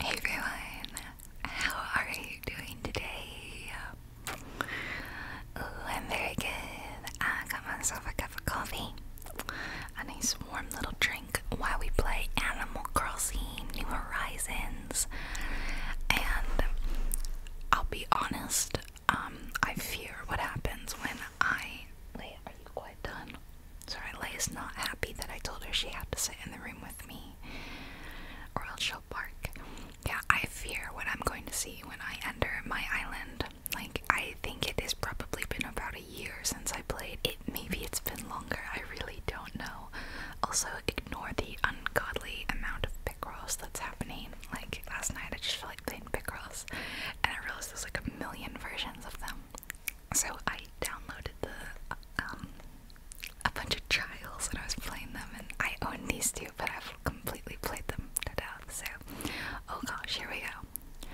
Hey everyone, how are you doing today? I'm very good. I got myself a cup of coffee, a nice warm little drink while we play Animal Crossing New Horizons. And I'll be honest, um, I fear what happens when I. Wait, are you quite done? So Leia's not happy that I told her she had to sit in the room with me, or else she'll bark. Yeah, I fear what I'm going to see when I enter my island. Like, I think it has probably been about a year since I played. It maybe it's been longer. I really don't know. Also, ignore the ungodly amount of pickles that's happening. Like last night, I just felt like playing pickles, and I realized there's like a million versions of them. So I downloaded the um a bunch of trials and I was playing them and I own these two but I've completely played them to death. So oh gosh, here we go.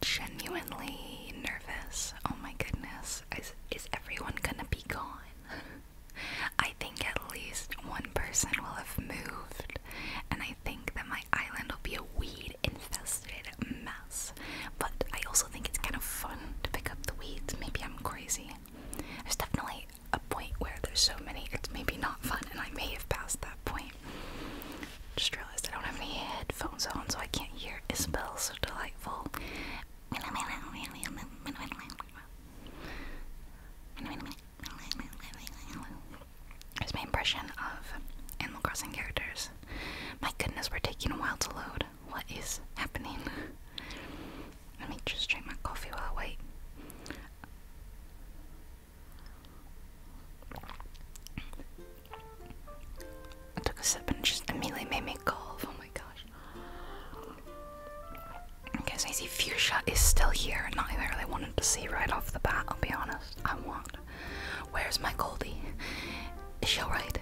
Genuinely nervous. Oh my goodness. Is is everyone gonna be gone? I think at least one person will have moved, and I think that my island will be a weed infested but I also think it's kind of fun to pick up the weeds. Maybe I'm crazy. There's definitely a point where there's so many, it's maybe not fun, and I may have passed that point. Just realized I don't have any headphones on, so I can't hear Isabel so delightful. Here's my impression of Animal Crossing characters. My goodness, we're taking a while to load what is happening? Let me just drink my coffee while I wait. I took a sip and just immediately made me cough. Oh my gosh. Okay, so you see, fuchsia is still here. and Not even really wanted to see right off the bat, I'll be honest. I want. Where's my Goldie? Is she alright?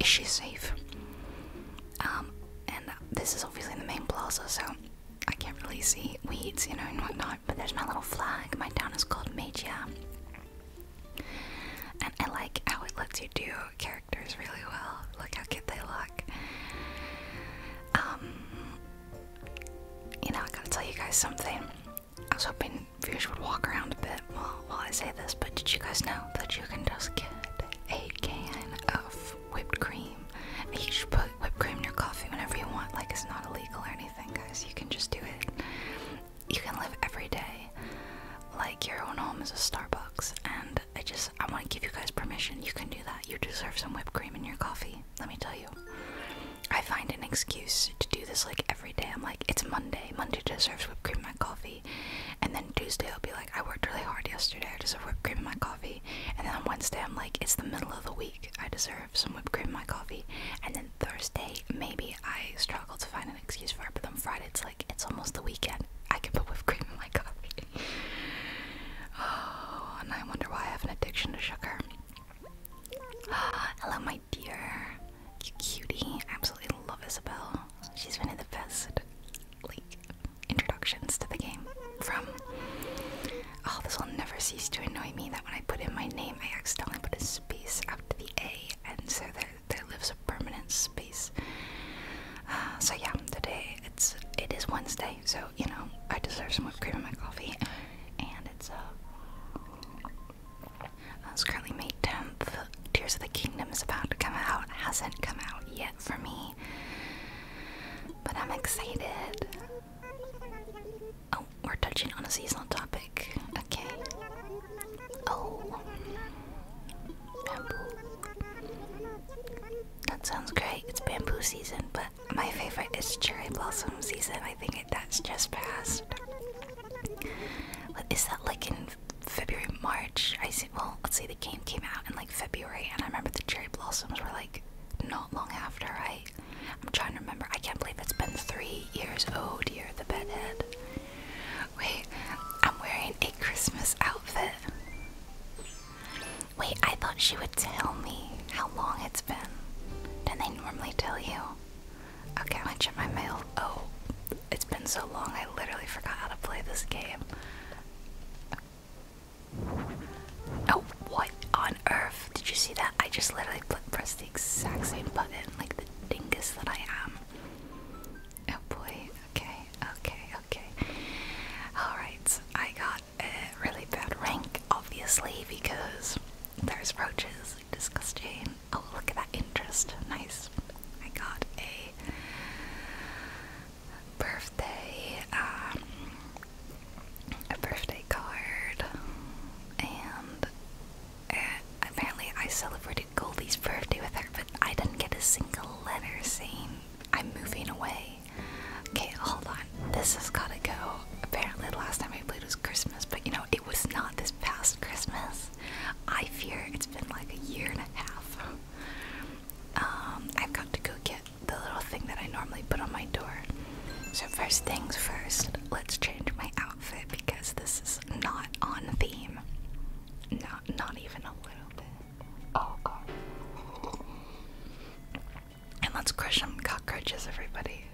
Is she safe? Um, and this is obviously the main plaza, so I can't really see weeds, you know, and whatnot. But there's my little flag. My town is called Magia. And I like how it lets you do characters really well. Look how good they look. Um, you know, I gotta tell you guys something. I was hoping viewers would walk around a bit well, well, I say this, but did you guys know that you can just get a can of whipped cream? you should put whipped cream in your coffee whenever you want. Like, it's not illegal or anything, guys. You can just do it. You can live every day like your own home is a Starbucks. And I just, I want to give you guys permission. You can do that. You deserve some whipped cream in your coffee. Let me tell you. I find an excuse to do this like every day. I'm like, it's Monday. Monday deserves whipped cream in my coffee. And then Tuesday, I'll be like, I worked really hard yesterday. I deserve whipped cream in my coffee. And then on Wednesday, I'm like, it's the middle of the week. I deserve some whipped cream in my coffee. And then Thursday, maybe I struggle to find an excuse for it. But on Friday, it's like, it's almost the weekend. I can put whipped cream in my coffee. oh, and I wonder why I have an addiction to sugar. Hello, my dear. You cutie. I absolutely love Isabelle. She's one of the best like introductions to the game. From Oh, this will never cease to annoy me that when I put in my name I accidentally put a space after the A and so there there lives a permanent space. Uh, so yeah, today it's it is Wednesday, so you know, I deserve some whipped cream in my coffee. And it's uh, uh, it's Tears of the Kingdom is about to come out. hasn't come out yet for me. But I'm excited. Oh, we're touching on a seasonal topic. Okay. Oh. Bamboo. That sounds great. It's bamboo season, but my favorite is cherry blossom season. I think that's just past. What is that like in February, March. I see. Well, let's say the game came out in like February, and I remember the cherry blossoms were like not long after. I, I'm trying to remember. I can't believe it's been three years. Oh dear, the bedhead. Wait, I'm wearing a Christmas outfit. Wait, I thought she would tell me how long it's been. Don't they normally tell you. Okay, I'm gonna check my mail. Oh, it's been so long I literally forgot how to play this game. Oh, what on earth? Did you see that? I just literally pressed the exact same button like the dingus that I am. Oh boy, okay, okay, okay. Alright, I got a really bad rank, obviously, because there's roaches. Disgusting. Oh, look at that interest. Nice. I got a birthday, um, a birthday card, and uh, apparently I celebrated Goldie's birthday with her, but I didn't get a single letter saying I'm moving away. Okay, hold on. This has gotta go. Apparently, the last time I played was Christmas, but you know, it was not this past Christmas. I fear it's been like a year and a half. Um, I've got to go get the little thing that I normally put on my door. So, first things first, let's change my outfit because this is not on theme. Not, not even a little bit. Oh, God. And let's crush some cockroaches, everybody.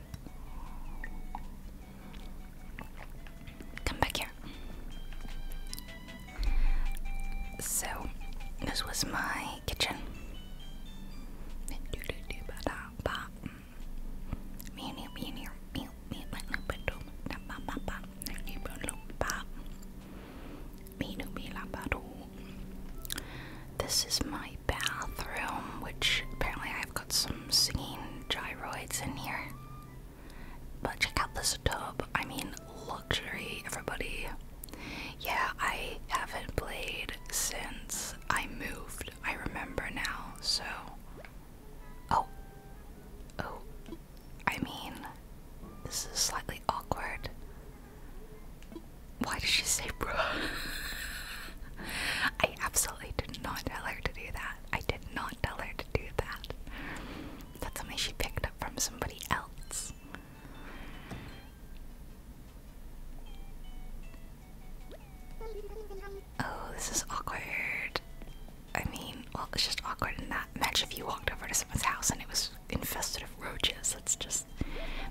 Come back here. So, this was my kitchen. This is my bathroom, which apparently I've got some singing gyroids in here. But check out this tub. I mean, luxury, everybody. Yeah, I haven't played since I moved. I remember now, so. Oh. Oh. I mean, this is slightly awkward. Why did she say bro? I absolutely did not tell her to do that. I did not tell her to do that. That's something she picked up from somebody else. Oh, this is awkward. I mean, well, it's just awkward in that. Imagine if you walked over to someone's house and it was infested with roaches. It's just.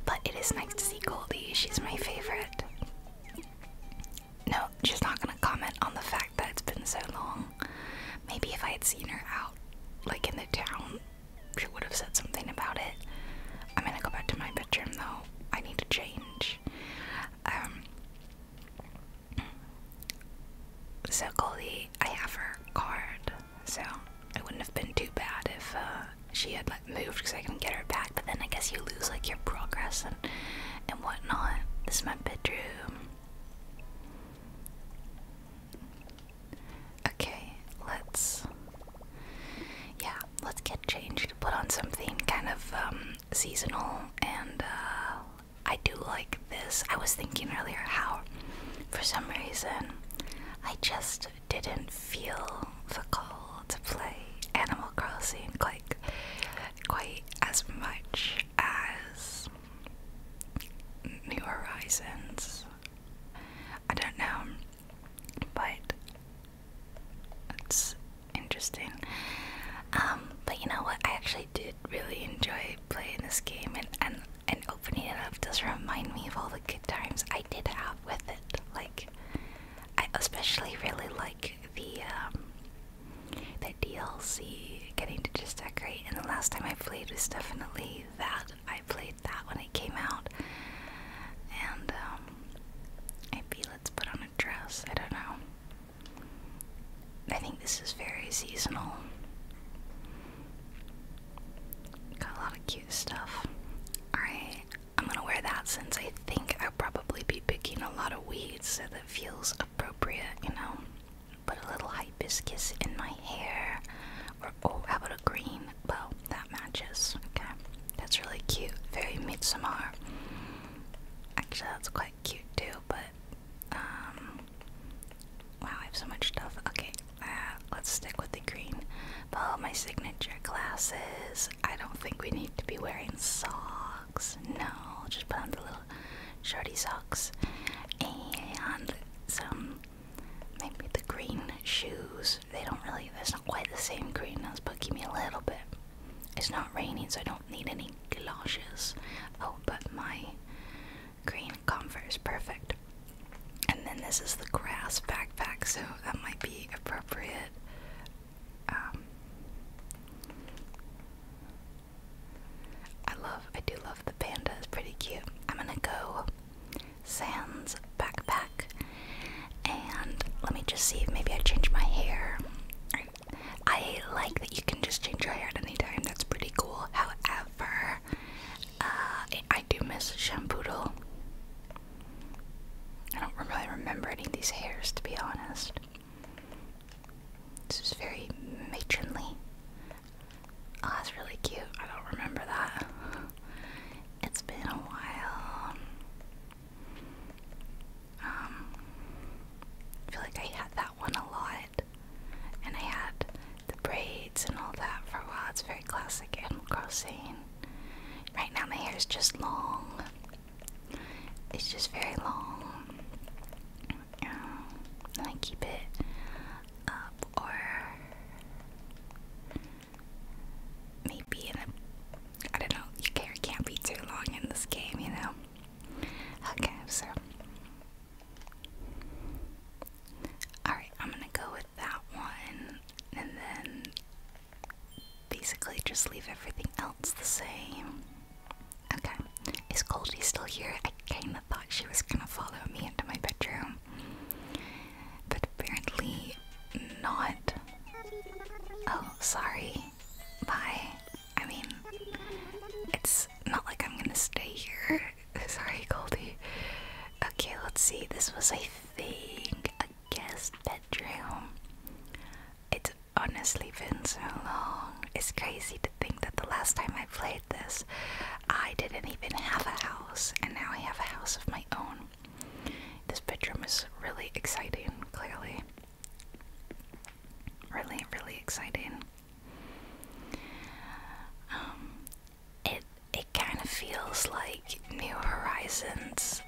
But it is nice to see Goldie. She's my favorite. No, she's not gonna comment on the fact that it's been so long. Maybe if I had seen her out, like in the town, she would have said something about it. I'm gonna go back to my bedroom though. I need to change. Um, so Goldie, I have her card, so it wouldn't have been too bad if uh, she had moved because I can get her back. But then I guess you lose like your progress and and whatnot. This is my bedroom. Okay, let's yeah, let's get changed. Put on something kind of um, seasonal, and uh, I do like this. I was thinking earlier how, for some reason, I just didn't feel the call to play Animal Crossing like quite as much as New Horizons. I don't know, but it's interesting. Um, but you know what? I actually did really enjoy playing this game, and, and, and opening it up does remind me of all the good times I did have with it. Like, I especially really like the um, the DLC, getting to just decorate. And the last time I played was definitely that. I played that when it came out. And, maybe um, let's put on a dress. I don't know. I think this is very seasonal. Got a lot of cute stuff. Alright, I'm gonna wear that since I think I'll probably be picking a lot of weeds, so that feels appropriate, you know? put a little hibiscus in my hair. Or, oh, how about a green bow? That matches. Okay. That's really cute. Very Midsommar. Actually, that's quite cute too, but, um, wow, I have so much stuff. Okay, uh, let's stick with the green. Follow my signature glasses. I don't think we need to be wearing socks socks? No, just put on the little shorty socks and some maybe the green shoes. They don't really, that's not quite the same green as, but give me a little bit. It's not raining, so I don't need any galoshes. Oh, but my green comfort is perfect. And then this is the grass backpack, so that might be appropriate. Um, I love, I do love the panda, it's pretty cute. I'm gonna go Sans backpack and let me just see if maybe I change my hair. I like that you can just change your hair at any time, that's pretty cool. However, uh, I do miss Shampoodle. I don't really remember any of these hairs to be honest. This is very matronly. Oh, that's really cute. I don't remember that. It's been a while. Um, feel like I had that one a lot. And I had the braids and all that for a while. It's very classic Animal Crossing. Right now, my hair is just long. It's just very long um, keep it up or maybe in a I don't know, your can't be too long in this game, you know? Okay, so Alright, I'm gonna go with that one and then basically just leave everything else the same. Okay. Is Goldie still here? I kinda thought she was gonna follow me into my bedroom. But apparently not. Oh, sorry. Bye. I mean, it's not like I'm gonna stay here. sorry, Goldie. Okay, let's see. This was, a thing a guest bedroom. It's honestly been so long. It's crazy to think that the last time I played this, I didn't even have a house, and now I have a house of my own. This bedroom is really exciting, clearly. Really, really exciting. Um, it it kind of feels like New Horizons.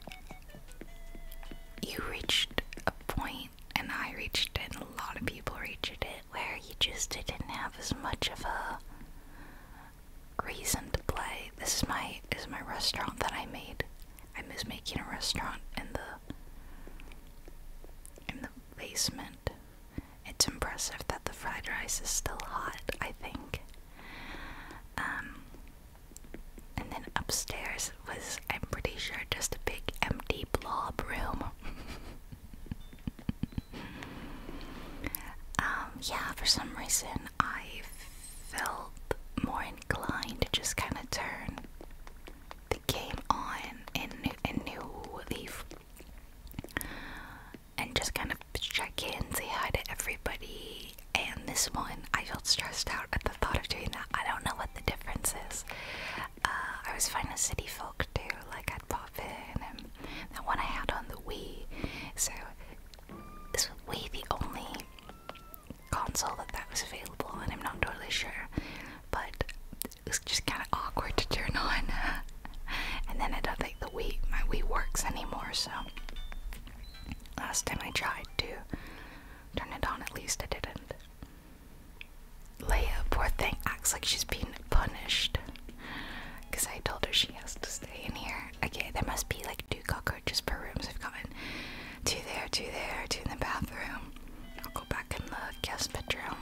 You reached a point point, and I reached it, and a lot of people reached it, where you just didn't have as much of a reason to play. This is my is my restaurant that I made. I miss making a restaurant in the in the basement. It's impressive that the fried rice is still hot, I think. Um, and then upstairs was I'm pretty sure just a big empty blob room. Um, yeah, for some reason I felt more inclined to just kind of turn the game on in a new leaf and just kind of check in, say hi to everybody. And this one, I felt stressed out at the thought of doing that. I don't know what the difference is. Uh, I was finding City Folk too, like I'd pop in, and the one I had on the Wii. So, is Wii the only console that that was available? And I'm not totally sure, but it was just kind of awkward to turn on. and then I don't think the Wii, my Wii works anymore, so last time I tried to turn it on, at least I didn't. Leah, poor thing, acts like she's being punished. Because I told her she has to stay in here. Okay, there must be like two cockroaches per room, so I've gotten two there, two there, two in the bathroom. I'll go back in the guest bedroom.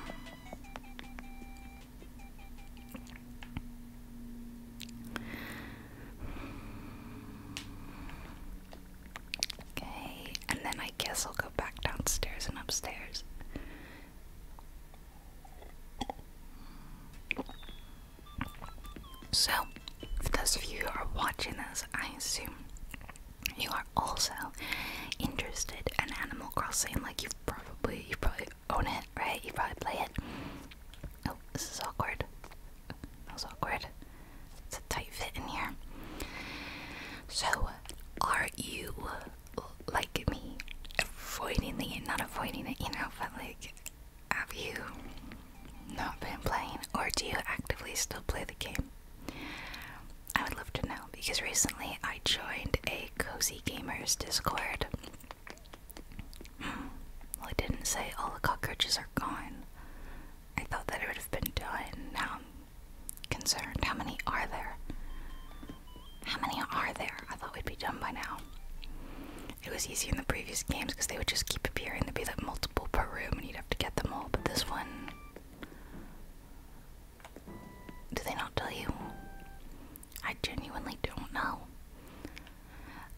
Okay, and then I guess I'll back downstairs and upstairs. So, those of you who are watching this, I assume you are also interested in Animal Crossing. Like you probably, you probably own it, right? You probably play it. Oh, this is awkward. That was awkward. It's a tight fit in here. So, are you like me? Avoiding the not avoiding it, you know, but like have you not been playing or do you actively still play the game? I would love to know because recently I joined a cozy gamers discord. Hmm, well, it didn't say all the cockroaches are gone. I thought that it would have been done. Now concerned. How many are there? How many are there? I thought we'd be done by now. It was easy in the previous games because they would just keep appearing. There'd be like multiple per room and you'd have to get them all, but this one. Do they not tell you? I genuinely don't know.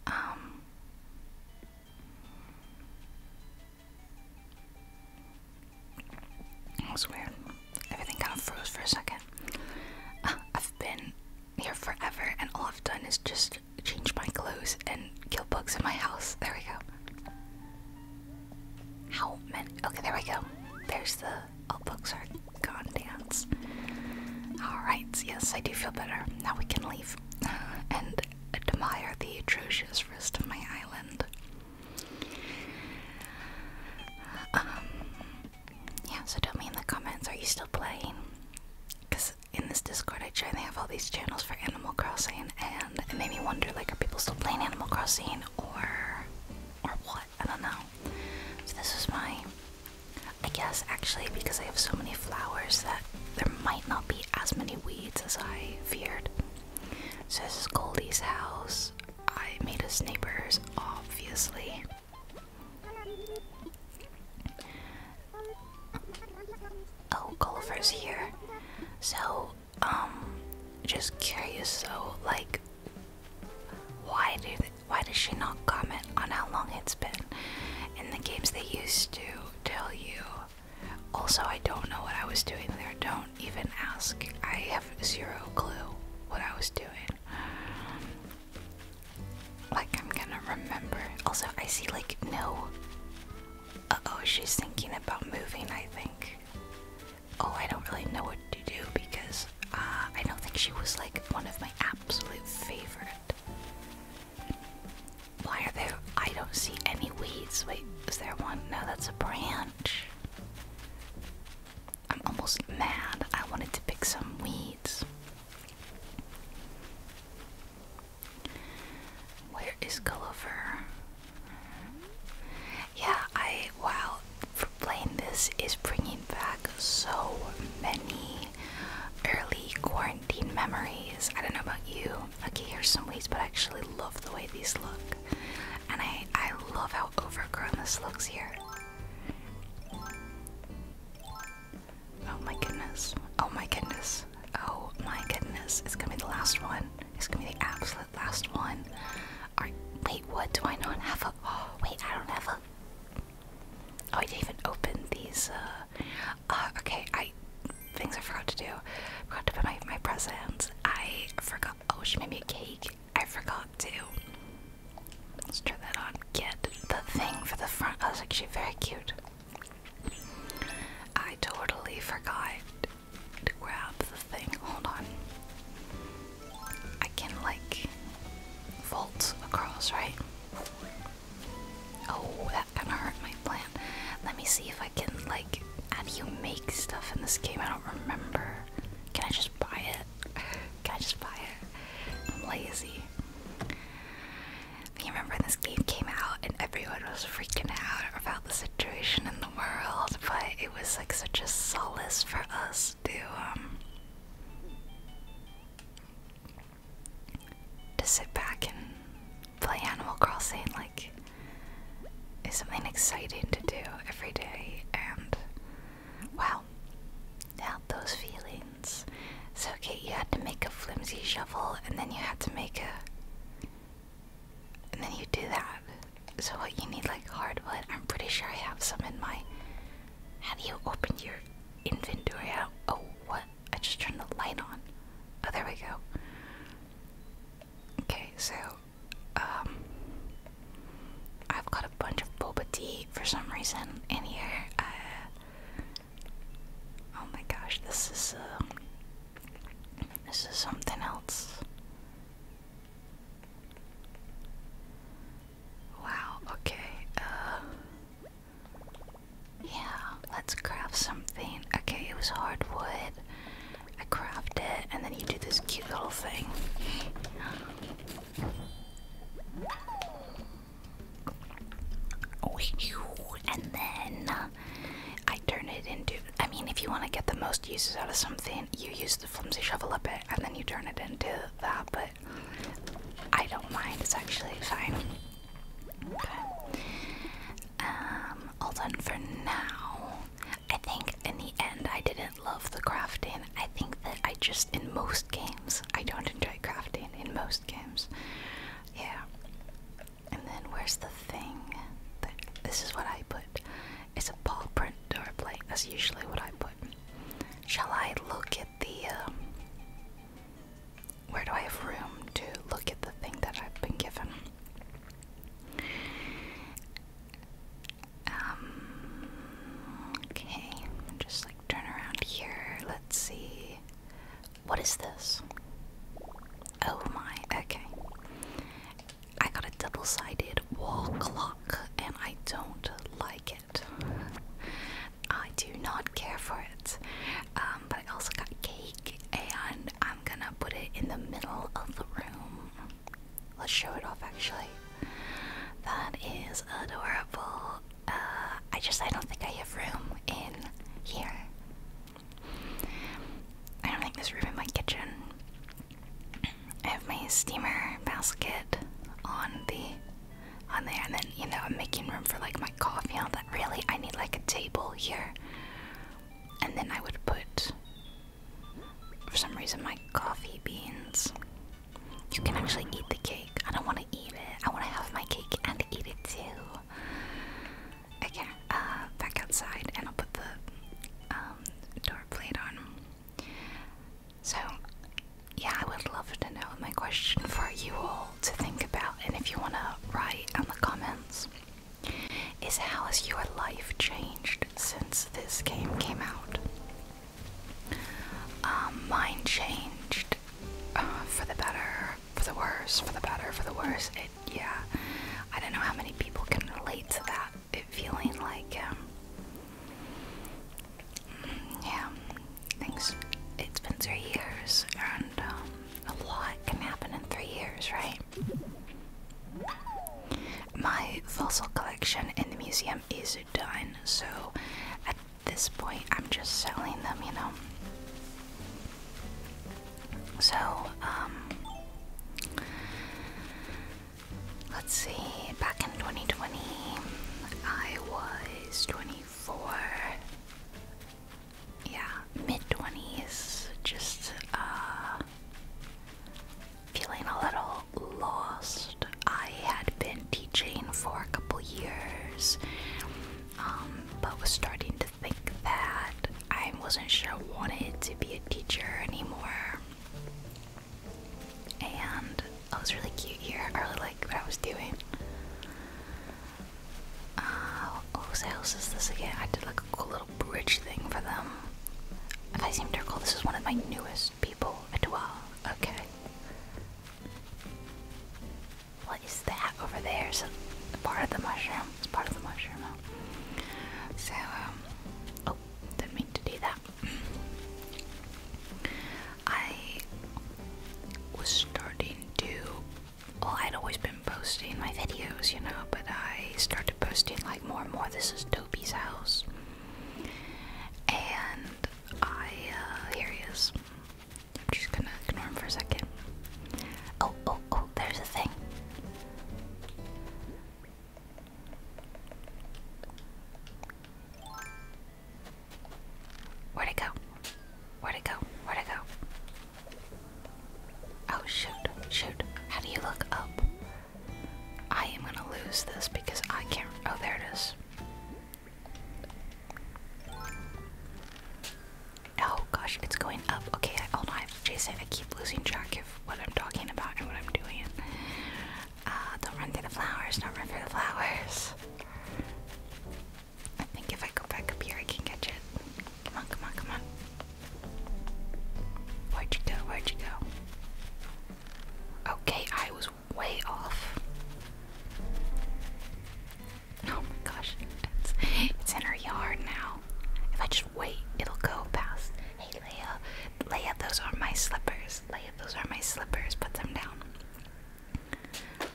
Um. That was weird. Everything kind of froze for a second. Uh, I've been here forever, and all I've done is just change my clothes and kill bugs in my house. There we go. How many? Okay, there we go. There's the all oh, bugs are gone dance. Alright, yes, I do feel better. Now we can leave and admire the atrocious rest of my island. Um, yeah, so tell me in the comments, are you still playing? Because in this Discord I joined, they have all these channels for Animal Crossing, and it made me wonder, like, are people still playing Animal Crossing, or, or what? I don't know. So this is my, I guess, actually, because I have so many flowers that there might not be as many weeds as I feared. So this is Goldie's house. I made us neighbors, obviously. Oh, Gulliver's here. So, um, just curious So, like, why do they, why does she not comment on how long it's been? In the games they used to tell you. Also, I don't know what I was doing there. Don't even ask. I have zero clue what I was doing. Like, I'm gonna remember. Also, I see, like, no. oh, she's thinking about moving, I think. Oh, I don't really know what to do because uh, I don't think she was, like, one of my absolute favorite. Why are there. I don't see any weeds. Wait, is there one? No, that's a branch. I'm almost mad. I wanted to pick some weeds. Where is Gulliver? Yeah, I wow. For playing this is bringing back so many early quarantine memories. I don't know about you. Okay, here's some weeds, but I actually love the way these look. And I I love how overgrown this looks here. Oh my goodness. Oh my goodness. Oh my goodness. It's gonna be the last one. It's gonna be the absolute last one. Alright, wait, what? Do I not have a. Oh, wait, I don't have a. Oh, I didn't even open these. Uh, uh, okay, I. Things I forgot to do. forgot to put my, my presents. I forgot. Oh, she made me a cake. I forgot to. Let's try that on. Get the thing for the front. Oh, it's actually very cute. I totally forgot to grab the thing. Hold on. I can, like, vault across, right? Oh, that kind of hurt my plan. Let me see if I can, like, how do you make stuff in this game? I don't remember. Can I just buy it? Can I just buy it? I'm lazy. You remember when this game came out and everyone was freaking out about the situation in the world, but it was like such a solace for us to um, to sit back and play Animal Crossing like is something exciting to do every day, and help now those feelings. So, Kate, you had to make a flimsy shovel, and then you had to make a. And then you do that. So, what you need, like hardwood, I'm pretty sure I have some in my. Have you opened your inventory? out? oh, what? I just turned the light on. Oh, there we go. Okay, so um, I've got a bunch of boba tea for some reason in here. Uh, oh my gosh, this is um, this is something else. Wow. Okay. Uh, yeah. Let's craft something. Okay, it was hardwood. I craft it, and then you do this cute little thing. Oh, and then I turn it into. I mean, if you want to get the most uses out of something, you use the flimsy shovel a bit and then you turn it into that, but I don't mind. It's actually fine. Um, all done for now. I think in the end I didn't love the crafting. I think that I just, in most games, I don't enjoy crafting. In most games. Yeah. And then where's the thing? That, this is what I put. It's a paw print door plate. That's usually what I put. Shall I look at the. Um, where do I have room to look at the thing that I've been given? Um, okay, just like turn around here. Let's see. What is this? Oh my, okay. I got a double sided wall clock and I don't like it. I do not care for it. Um, but I also got cake and I'm gonna put it in the middle of the room. Let's show it off actually. That is adorable. Uh, I just I don't think I have room in here. I don't think there's room in my kitchen. I have my steamer basket on the on there and then you know I'm making room for like my coffee and all that. Really I need like a table here. And then I would put for some reason, my coffee beans. You can actually eat the cake. I don't want to eat it. I want to have my cake and eat it too. Okay, uh, back outside, and I'll put the um, door plate on. So, yeah, I would love to know my question for you all to think about, and if you want to write on the comments is how has your life changed since this game came out? Um, mine changed uh, for the better, for the worse, for the better, for the worse. It, yeah, I don't know how many people can relate to that. It feeling like, um, mm, yeah, things. It's been three years, and um, a lot can happen in three years, right? My fossil collection in the museum is done, so at this point I'm just selling them, you know. So, um, let's see, back in 2020, I was 24. Yeah, mid 20s, just, uh, feeling a little lost. I had been teaching for a couple years, um, but was starting to think that I wasn't sure I wanted to be a teacher anymore. And I was really cute here. I really liked what I was doing. Uh, whose house is this again? I did like a cool little bridge thing for them. If I seem to recall, this is one of my newest people, Adwa. Okay. What is that over there? So part of the mushroom. It's part of the mushroom. So, um, oh, didn't mean to do that. I was starting to. Well, I'd always been posting my videos, you know, but I started posting like more and more. This is Dopey's house. And I, uh, here he is. I'm just gonna ignore him for a second. Oh, oh, oh, there's a thing. Where'd it go? Where'd it go? Where'd it go? Oh, shoot, shoot. How do you look up? I am gonna lose this because I can't. Oh, there it is. Oh gosh, it's going up. Okay, I, hold on. Jason, I keep losing track of what I'm talking about and what I'm doing. Uh, don't run through the flowers. Don't run through the flowers. I think if I go back up here, I can catch it. Come on, come on, come on. Where'd you go? Where'd you go? Okay, I was way off. Oh my gosh, it's, in her yard now. If I just wait, it'll go past. Hey, Leia, Leia, those are my slippers. Leia, those are my slippers. Put them down.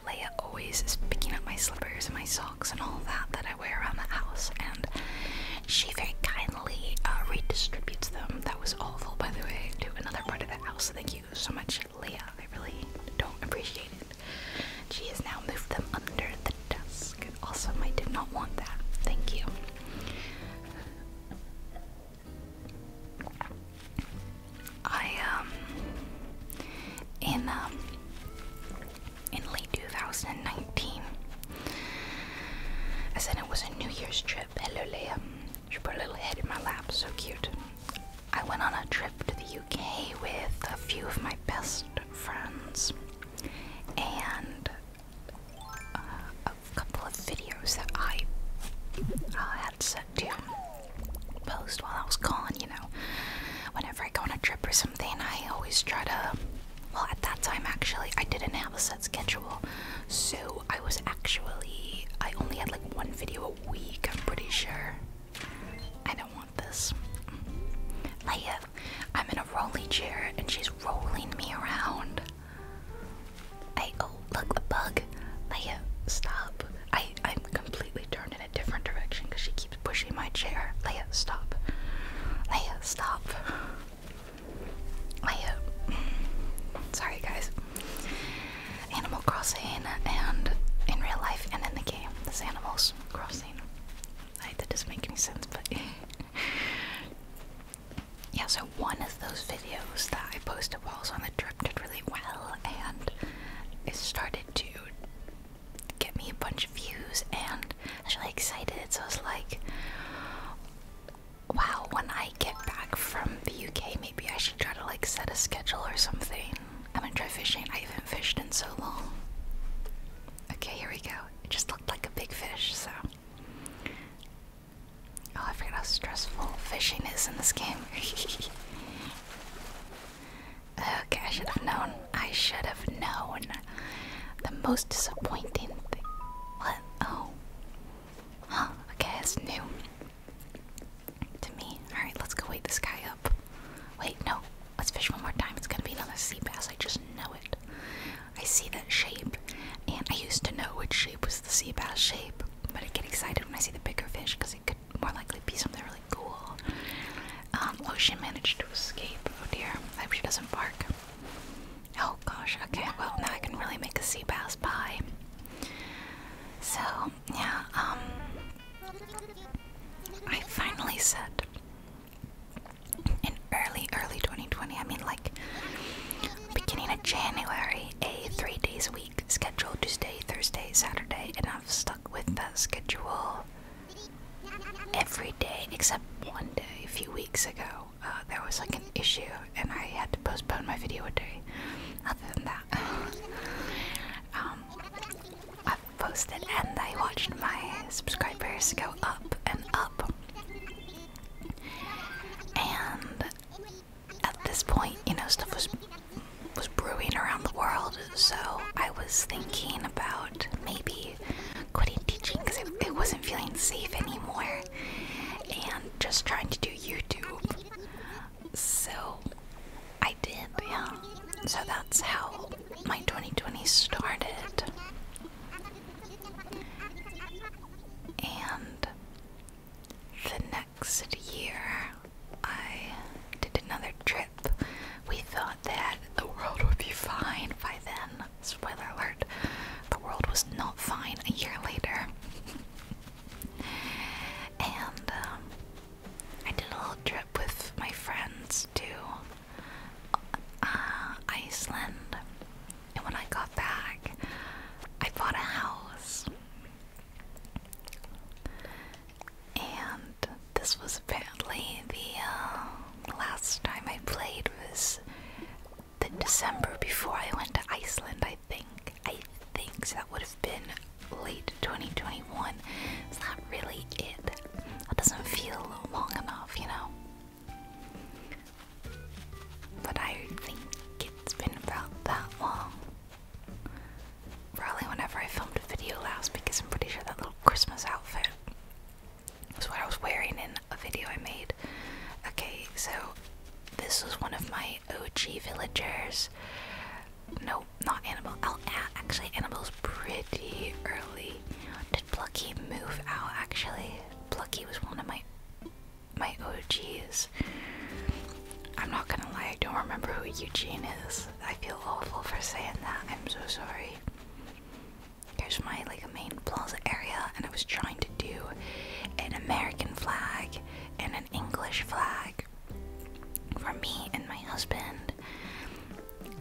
Leia always is picking up my slippers and my socks and all that that I wear around the house, and she very kindly uh, redistributes them. That was awful, by the way, to another part of the house. Thank you so much, Leah. I really don't appreciate it. She has now moved them under the desk. Awesome, I did not want that. Thank you. I, um, in, um, in late 2019, I said it was a New Year's trip. Hello, Leia. She put her little head in my lap. So cute. I went on a trip to the UK with a few of my best friends and uh, a couple of videos that I uh, had set to post while I was gone, you know. Whenever I go on a trip or something, I always try to well, at that time, actually, I didn't have a set schedule, so I was actually. I only had like one video a week, I'm pretty sure. I don't want this. Leia, I'm in a rolling chair and she's rolling me around. I. Oh, look, a bug. Leia, stop. I, I'm completely turned in a different direction because she keeps pushing my chair. Leia, stop. Leia, stop. I uh, Sorry, guys. Animal Crossing and in real life and in the game, this Animal Crossing. I, that doesn't make any sense, but yeah. So one of those videos that I posted while I was on the trip did really well, and it started to get me a bunch of views, and I was really excited. So I was like, wow, when I get back from the UK, maybe I should try to like set a schedule or something. I'm gonna try fishing. I haven't fished in so long. Okay, here we go. It just looked like a big fish, so. Oh, I forgot how stressful fishing is in this game. okay, I should have known. I should have known. The most disappointing thing. What? Oh. Huh, okay, it's new. To me. Alright, let's go wake this guy up. Wait, no. Let's fish one more time. It's gonna be another sea bass. I just know it. I see that shape, and I used to know which shape was the sea bass shape, but I get excited when I see the bigger fish because it could more likely be something really cool. Um, oh, she managed to escape. Oh dear. I hope she doesn't bark. Oh gosh, okay, well now I can really make a sea bass pie. So, yeah, um I finally said in early, early 2020, I mean like beginning of January, a three days a week schedule, Tuesday, Thursday, Saturday, and I've stuck with that schedule every day except one day a few weeks ago uh, there was like an issue and I had to postpone my video a day. Other than that, um, I've posted and I watched my subscribers go up and up. And at this point, you know, stuff was was brewing around the world, so I was thinking about maybe quitting teaching because it, wasn't feeling safe anymore and just trying to do YouTube. So I did, yeah. So that's how my 2020 started. And the next year, I did another trip. We thought that the world would be fine by then, spoiler alert, the world was not fine a year later. and um, I did a little trip with my friends to uh, Iceland. And when I got back, I bought a house. And this was apparently the uh, last time I played was the December before I went to Iceland, I think. I think that would have been late 2021. It's not really it. That doesn't feel long enough, you know? But I think it's been about that long. Probably whenever I filmed a video last because I'm pretty sure that little Christmas outfit was what I was wearing in a video I made. Okay, so this was one of my OG villagers. No, not Annabelle. Oh, actually, animals pretty early. Did Plucky move out? Actually, Plucky was one of my my OGs. I'm not gonna lie, I don't remember who Eugene is. I feel awful for saying that. I'm so sorry here's my like main plaza area and I was trying to do an American flag and an English flag for me and my husband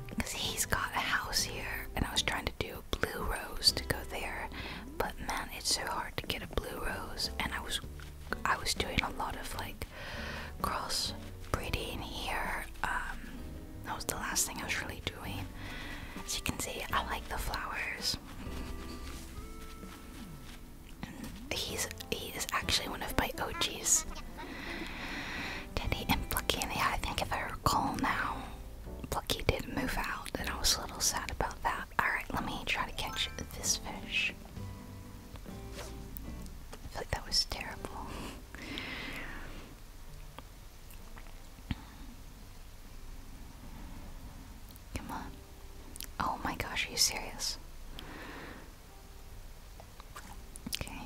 because he's got a house here and I was trying to do a blue rose to go there but man it's so hard to get a blue rose and I was I was doing a lot of like cross breeding here um that was the last thing I was really doing. As you can see, I like the flowers. And he's he is actually one of my OGs. Teddy and Plucky, yeah, I think if I recall now, Plucky did move out, and I was a little sad about that. Alright, let me try to catch this fish. I feel like that was terrible. Come on. Oh my gosh, are you serious? Okay.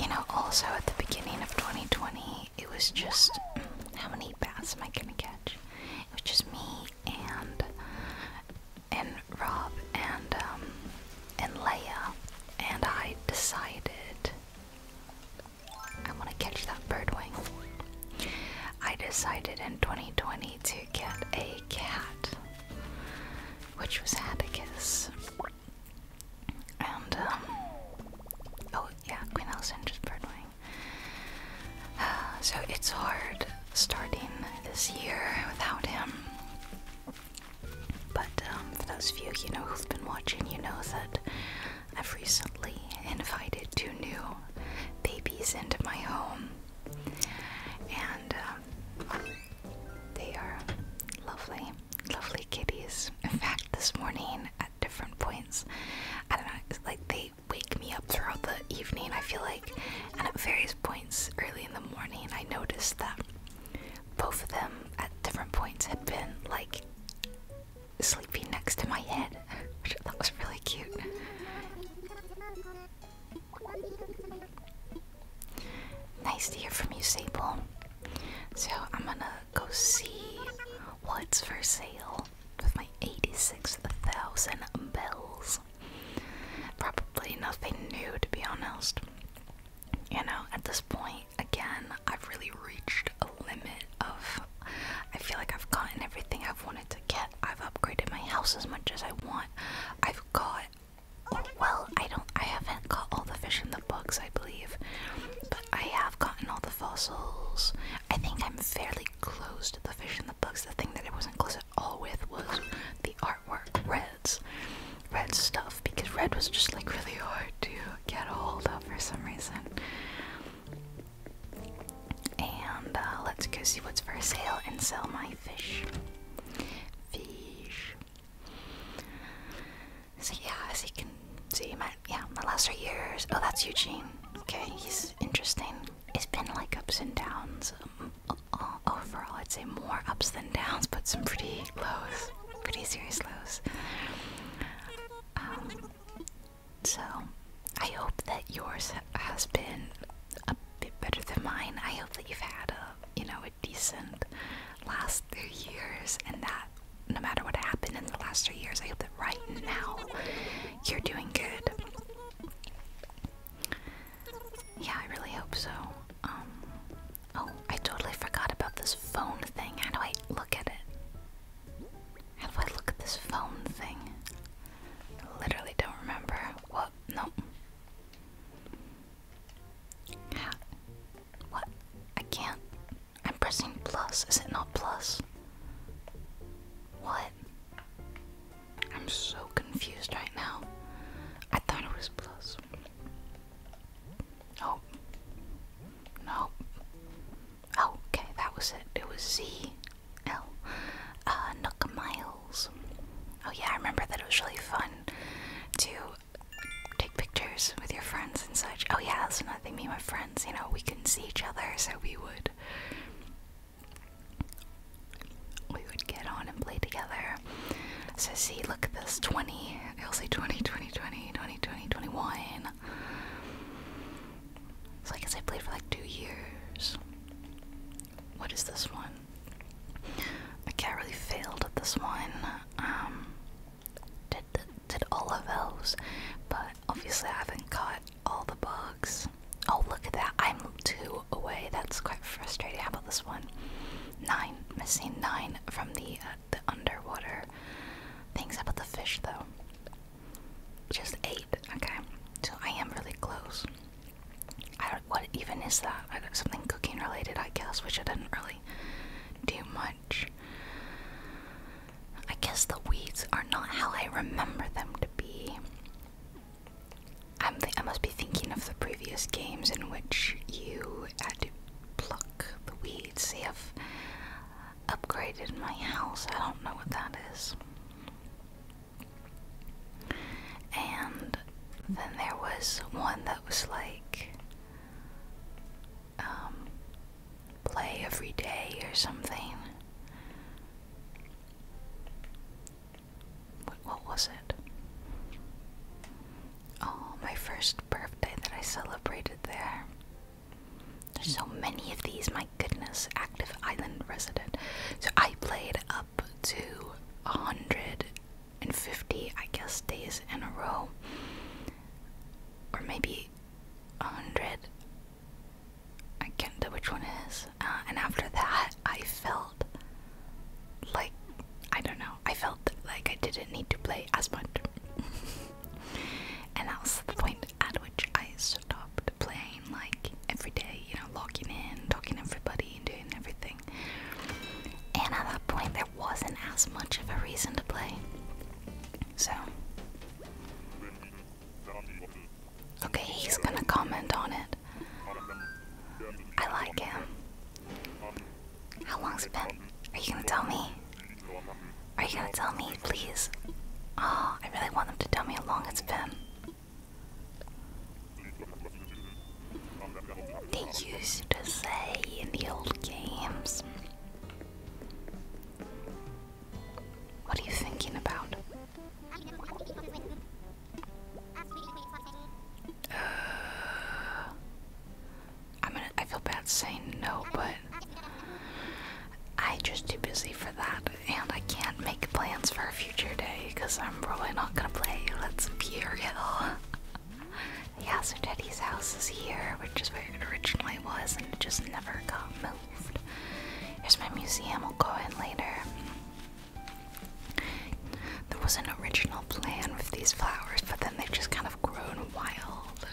You know, also at the beginning of 2020, it was just how many baths am I gonna catch? It was just me and and Rob and um and Leia and I decided I want to catch that birdwing. I decided in 2020 to get a cat, which was Hatticus. And, um, oh yeah, Queen Alexandra's birdwing. Uh, so it's hard starting this year without him. But um, for those of you, you know, who've been watching, you know that I've recently invited two new babies into my home, and um, they are lovely, lovely kitties. In fact, this morning at different points, I don't know, it's like they wake me up throughout the evening. I feel like, and at various points early in the morning, I noticed that both of them at different points had been like sleeping next to my head, which I thought was really cute. Nice to hear from you, Sable. So I'm gonna go see what's for sale with my 86,000 bells. Probably nothing new, to be honest. You know, at this point, again, I've really reached a limit of. I feel like I've gotten everything I've wanted to get. I've upgraded my house as much as I want. I've got. Well, I don't. I haven't got all the fish in the books, I believe. But I have gotten all the fossils. I think I'm fairly close to the fish in the books. The thing that I wasn't close at all with was the artwork. Red red stuff because red was just like really hard to get a hold of for some reason. And uh, let's go see what's for sale and sell my fish. Fish. So yeah, as you can see, my yeah, my last three years. Oh, that's Eugene. Okay, he's interesting. It's been like ups and downs. Um, overall, I'd say more ups than downs, but some pretty lows, pretty serious lows. Um, so, I hope that yours has been a bit better than mine. I hope that you've had a, you know, a decent last three years, and that no matter what happened in the last three years, I hope that right now you're doing good. Yeah, I really hope so. Um, oh, I totally forgot about this phone thing. How do I look at it? How do I look at this phone thing? literally don't remember. What? Nope. How? What? I can't. I'm pressing plus. Is it not plus? What? I'm so confused right now. I thought it was plus. Oh. No. okay, that was it. It was Z L. Uh, Nook Miles. Oh, yeah, I remember that it was really fun to take pictures with your friends and such. Oh, yeah, so now they meet my friends, you know, we can see each other, so we would we would get on and play together. So see, look at this 20. i will say 20, 20, 20, 20, 21. So I guess I played for like two years. What is this one? I can't really failed at this one. Um, did did all of those, but obviously I haven't caught all the bugs. Oh look at that! I'm two away. That's quite frustrating. How about this one? Nine. Missing nine from the, uh, the underwater things. How about the fish, though? Just eight. Okay. So I am really close. I don't, what even is that? something cooking related, I guess, which I didn't really do much. I guess the weeds are not how I remember them to be. I'm I must be thinking of the previous games in which you had to pluck the weeds. See, I've upgraded my house. I don't know what that is. And then there was one that was like um, play every day or something what was it? Oh, my first birthday that I celebrated there. There's so many of these, my goodness. Active island resident. So I played up to 150, I guess, days in a row. Or maybe 100. I can't tell which one is. Uh, and after that, I felt like I don't know, I felt like I didn't need to play as much. and that was the point at which I stopped playing like every day, you know, logging in, talking to everybody, and doing everything. And at that point, there wasn't as much of a reason to play. So. Okay, he's gonna comment on it. I like him. How long's it been? Are you gonna tell me? Are you gonna tell me, please? Oh, I really want them to tell me how long it's been. They used to say in the old games. What are you thinking about? Uh, I'm gonna. I feel bad saying no, but I'm just too busy for that, and I can't make plans for a future day because I'm probably not gonna play. Let's be real. yeah, so Teddy's house is here, which is where it originally was, and it just never got moved. Here's my museum. I'll go in later. There was an original plan with these flowers, but then they've just kind of grown wild.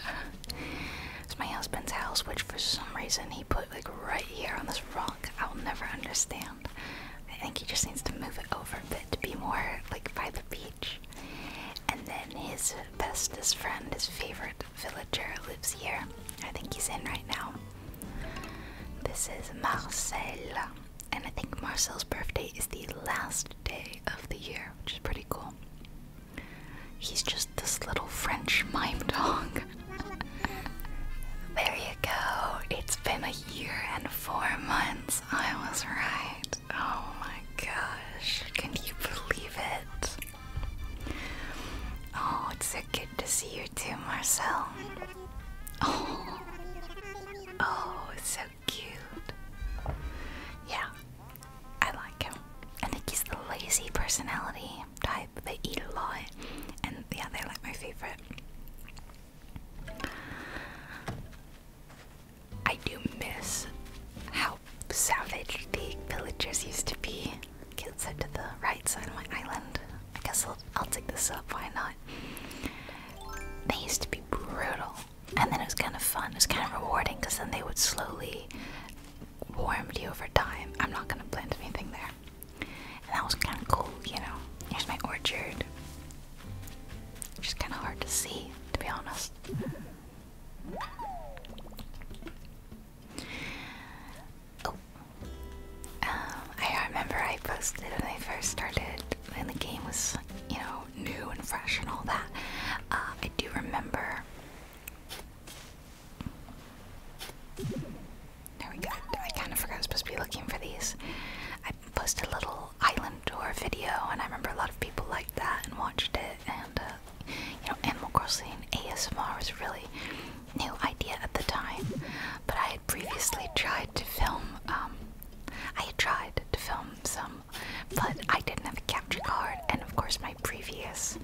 it's my husband's house, which for some reason he put like right here on this rock. I'll never understand. I think he just needs to move it over a bit to be more like by the beach. And then his bestest friend, his favorite villager, lives here. I think he's in right now. This is Marcel and I think Marcel's birthday is the last day of the year, which is pretty cool. He's just this little French mime dog. there you go. It's been a year and four months. I was right. Oh my gosh. Can you believe it? Oh, it's so good to see you too, Marcel. Oh. Oh, so cute. Yeah, I like him. I think he's the lazy personality type. They eat a lot, and yeah, they're like my favorite. I do miss how savage the villagers used to be. Kids said to the right side of my island. I guess I'll take this up, why not? They used to be brutal, and then it was kind of fun. It was kind of rewarding because then they would slowly warm you over time. I'm not gonna plant anything there, and that was kind of cool, you know. Here's my orchard. Which is kind of hard to see, to be honest. Oh, um, I remember I posted when I first started, when the game was, you know, new and fresh and all that. Uh, I do remember. There we go. I kind of forgot I was supposed to be looking for these. I posted a little island tour video, and I remember a lot of people liked that and watched it. And uh, you know, Animal Crossing ASMR was really new idea at the time. But I had previously tried to film um, I had tried to film some, but I didn't have a capture card, and of course, my previous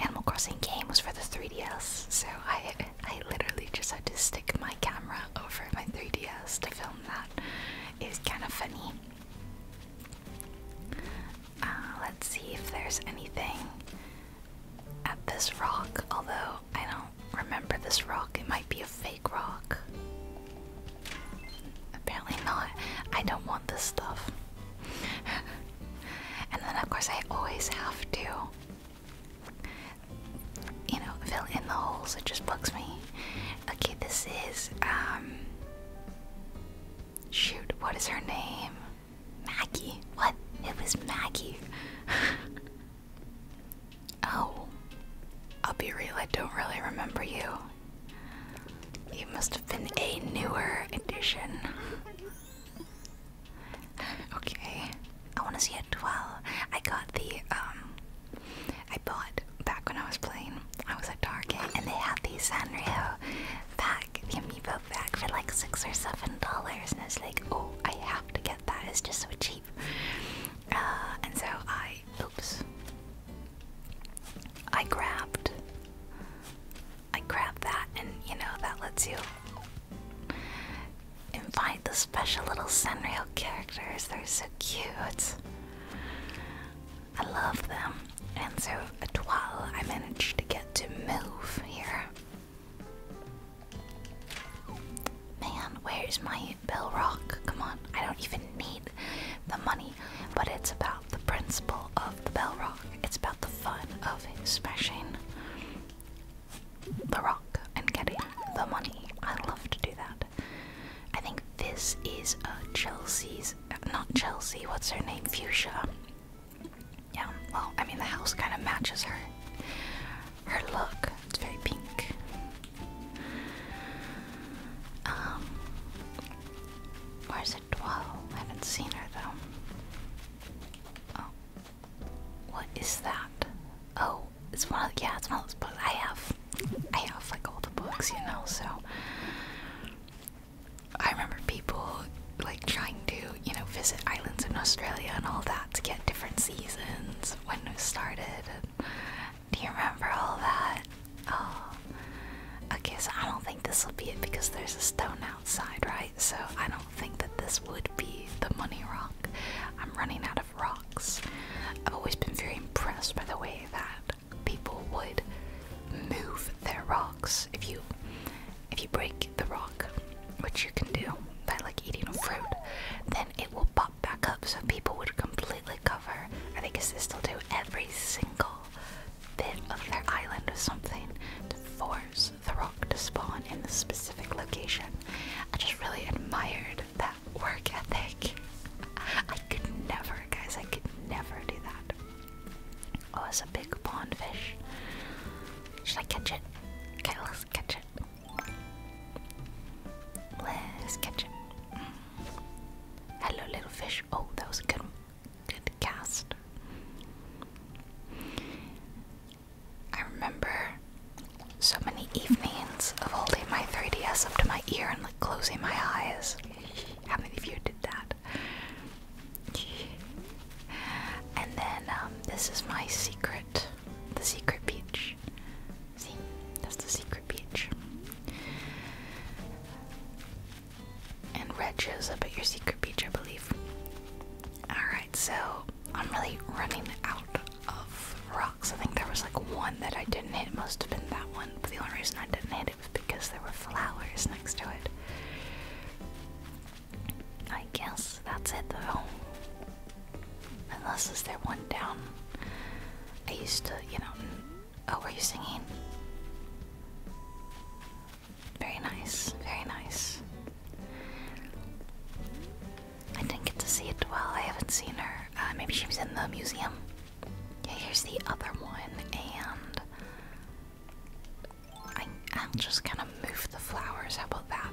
Animal Crossing game was for the 3DS, so I I literally just had to stick my camera over my 3DS to film that. It's kind of funny. Uh, let's see if there's anything at this rock, although I don't remember this rock. It might be a fake rock. Apparently not. I don't want this stuff. and then, of course, I always have to, you know, fill in the holes. It just bugs me. Okay, this is, um. Shoot, what is her name? Maggie. What? It was Maggie. Oh, I'll be real, I don't really remember you. You must have been a newer edition. okay, I want to see a 12. I got the, um, I bought back when I was playing, I was at Target and they had these Sanrio pack, the amiibo pack for like six or seven dollars, and I was like, oh, I have to get that is just so cheap. Uh, and so I, oops, I grabbed, I grabbed that, and you know that lets you invite the special little Sanrio characters. They're so cute. I love them. And so at 12, I managed to get to move here. Man, where's my bell rock? Come on, I don't even need the money, but it's about the principle of the bell rock. It's about the fun of smashing the rock and getting the money. I love to do that. I think this is uh, Chelsea's, not Chelsea, what's her name? Fuchsia. Yeah, well, I mean, the house kind of matches her her look. It's very pink. Um, where's it? Dwell? I haven't seen her though. Oh, what is that? Oh, it's one of yeah, it's one of those books. I have, I have like all the books, you know. So I remember people like trying to you know visit islands in Australia and all that to get different seasons when we started. do you remember all that? Oh. Okay, so I don't think this will be it because there's a stone outside, right? So I don't think that this would be the money rock. I'm running out of rocks. I've always been very impressed by the way that people would move their rocks if you if you break the rock, which you can do by like eating fruit, then it will pop back up so people would completely cover. I think it's this will do every single bit of their island or something to force the rock to spawn in the specific location. I just really admired that work ethic. I could never, guys, I could never do that. Oh, it's a big pond fish. Should I catch it? Okay, let's catch it. Let's catch it. Hello, little fish. Oh, that was a good, good cast. I remember so many evenings of holding my 3DS up to my ear and like closing my eyes. How many of you did that? and then um, this is my secret the secret beach. See, that's the secret beach. And red is up at your secret beach, I believe. Alright, so I'm really running out of rocks. I think there was like one that I didn't hit, must have been that one. But the only reason I didn't hit it was because there were flowers next to it. I guess that's it though. Unless is there one down? I used to, you know. Oh, were you singing? Very nice, very nice. I didn't get to see it well. I haven't seen her. Uh, maybe she was in the museum. Yeah, here's the other one, and I'll just kind of move the flowers. How about that?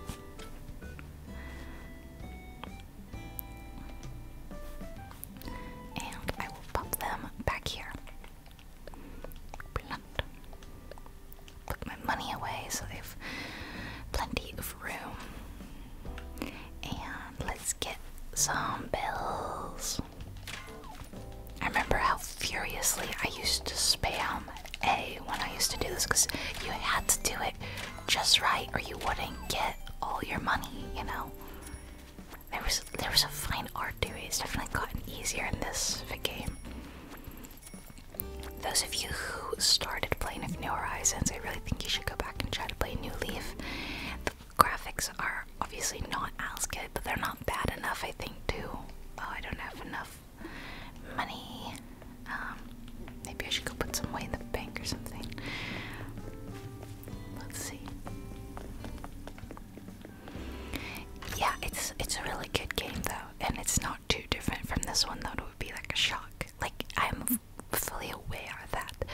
And I will pop them back here. Put my money away so they have plenty of room. And let's get some bills. I remember how furiously I used to spam a when I used to do this because you had to do it just right or you wouldn't get all your money, you know. There was there was a fine art to it. It's definitely gotten easier in this game. Those of you who started playing New Horizons, I really think you should go back and try to play New Leaf. The graphics are obviously not as good, but they're not bad enough, I think, too. Oh, I don't have enough money. Um, maybe I should go put some away in the bank or something. Let's see. Yeah, it's it's a really good game though, and it's not too different from this one though. It would be like a shock. Like I'm fully aware that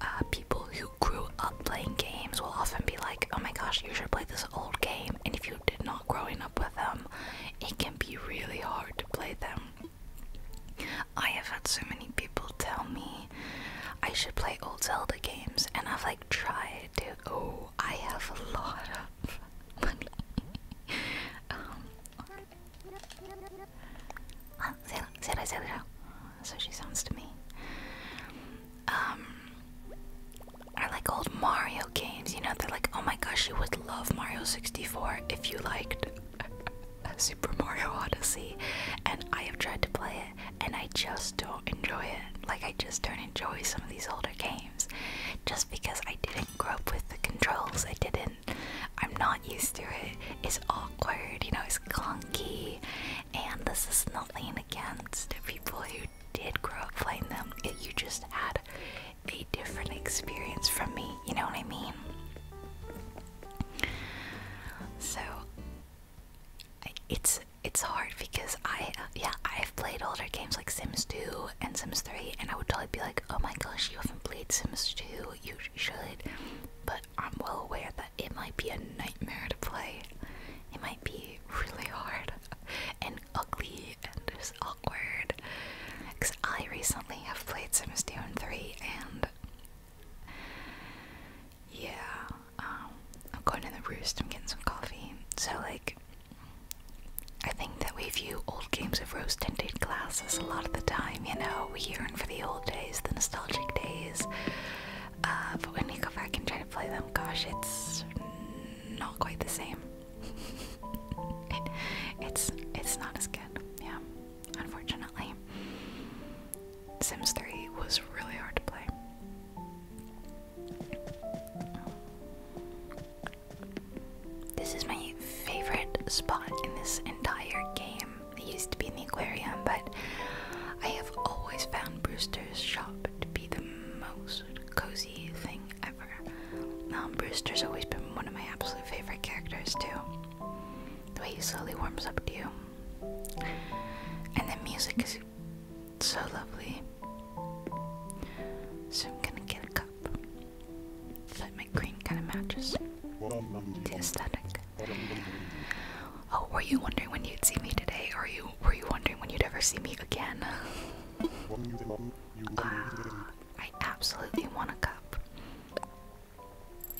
uh, people who grew up playing games will often be like, "Oh my gosh, you should play this old game." And if you did not growing up with them, it can be really hard to play them. I have had so many people tell me I should play old Zelda games, and I've like tried to. Oh, I have a lot of. um, uh, Zelda, Zelda, So she sounds to me. Um, I like old Mario games. You know, they're like, oh my gosh, you would love Mario 64 if you liked Super Mario Odyssey. And I have tried to play it, and I just don't enjoy it. Like, I just don't enjoy some of these older games. Just because I didn't grow up with the controls, I didn't. I'm not used to it. It's awkward, you know, it's clunky. And this is nothing against the people who did grow up playing them. It, you just had a different experience from me, you know what I mean? So it's it's hard because I uh, yeah I've played older games like Sims 2 and Sims 3 and I would totally be like oh my gosh you haven't played Sims 2 you should but I'm well aware that it might be a nightmare to play it might be really hard and ugly and there's ugly awkward. Because I recently have played Sims 2 and 3, and yeah, um, I'm going to the roost, I'm getting some coffee. So, like, I think that we view old games of rose tinted glasses a lot of the time, you know, we yearn for the old days, the nostalgic days. Uh, but when you go back and try to play them, gosh, it's not quite the same. it's it's not as good, yeah. Unfortunately, Sims 3 was really hard to play. This is my favorite spot in this entire game. It used to be in the aquarium, but I have always found Brewster's shop to be the most cozy thing ever. Um, Brewster's always been one of my absolute favorite characters, too. The way he slowly warms up to you. And the music is so lovely. So I'm gonna get a cup. that my green kind of matches the aesthetic. Oh, were you wondering when you'd see me today, or you were you wondering when you'd ever see me again? I absolutely want a cup.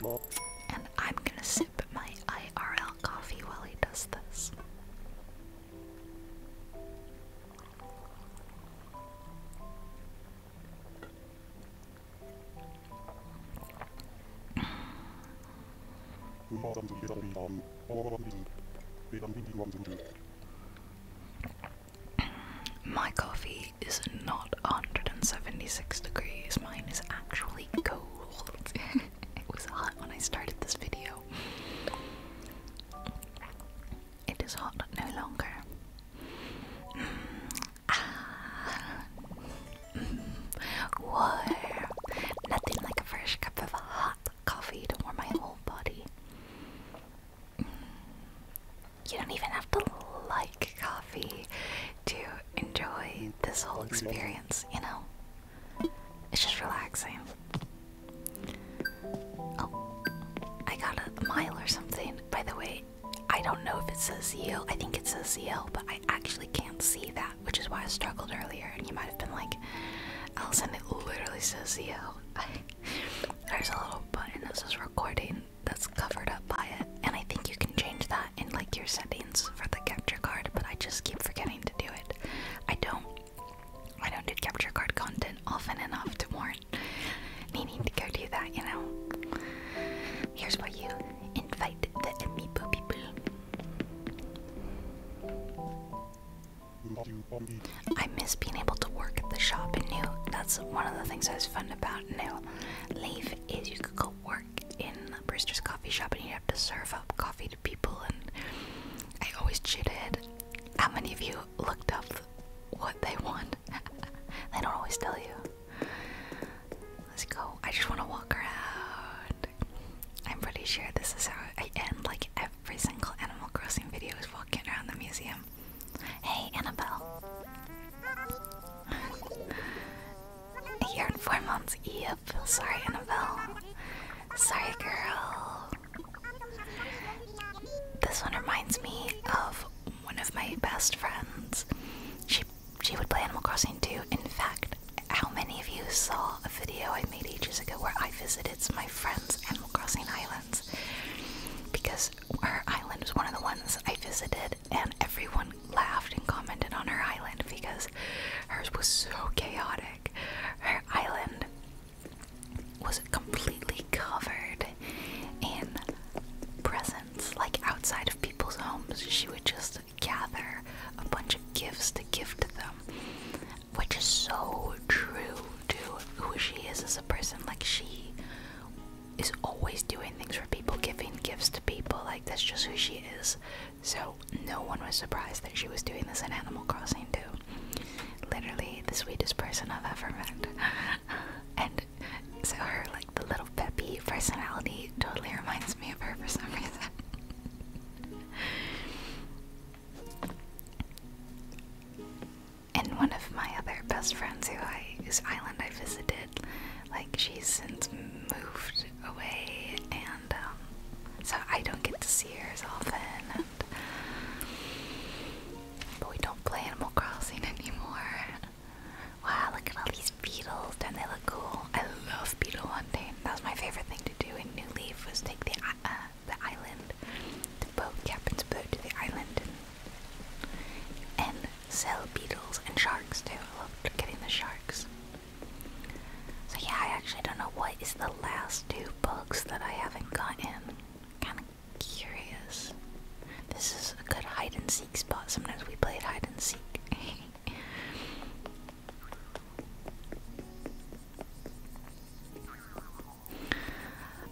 And I'm gonna sip my IRL coffee while he does this. My coffee is not 176 degrees, mine is actually cold. it was hot when I started this video. It is hot no longer. Mm. Ah. Mm. Warm. Nothing like a fresh cup of hot coffee to warm my whole body you don't even have to like coffee to enjoy this whole experience, you know? It's just relaxing. Oh, I got a mile or something. By the way, I don't know if it says yield. I think it says yield, but I actually can't see that, which is why I struggled earlier. And you might have been like, Allison, it literally says yield. There's a little button that says recording, that's covered up by it. And I think you can change that in like your settings for the capture card, but I just keep forgetting to do it. I don't I don't do capture card content often enough to warrant needing to go do that, you know. Here's where you invite the amiibo people. I miss being able to work at the shop and new. That's one of the things I was about now. Leave is you could go work in Brewster's coffee shop and you have to serve up coffee to people and I always cheated. How many of you looked up what they want? they don't always tell you. Let's go. I just want to walk around. I'm pretty sure this is how I end like every single Animal Crossing video is walking around the museum. Hey, Annabelle. A year and four months. Yep. Sorry, Annabelle. Sorry, girl. This one reminds me of one of my best friends. She she would play Animal Crossing too. In fact, how many of you saw a video I made ages ago where I visited my friend's Animal Crossing islands? Because her island was one of the ones I visited, and everyone laughed and commented on her island because hers was so chaotic. Her island was completely covered in presents, like outside of people's homes. She would just gather a bunch of gifts to give to them, which is so true to who she is as a person. Like, she is always doing things for people, giving gifts to people. Like, that's just who she is. So, no one was surprised that she was doing this in Animal Crossing, too. Literally, the sweetest person I've ever met. and so, her, like, the little peppy personality totally reminds me of her for some reason. and one of my other best friends who whose island I visited, like she's since moved away, and um, so I don't get to see her as often. but we don't play Animal Crossing anymore. Wow, look at all these beetles! Don't they look cool? I love beetle hunting. That was my favorite thing to do in New Leaf was take the uh, the island, the boat captain's boat to the island and and sell beetles and sharks too. I love getting the sharks. So yeah, I actually don't know what is the last two books that I haven't gotten. Kinda curious. This is a good hide and seek spot. Sometimes we played hide and seek.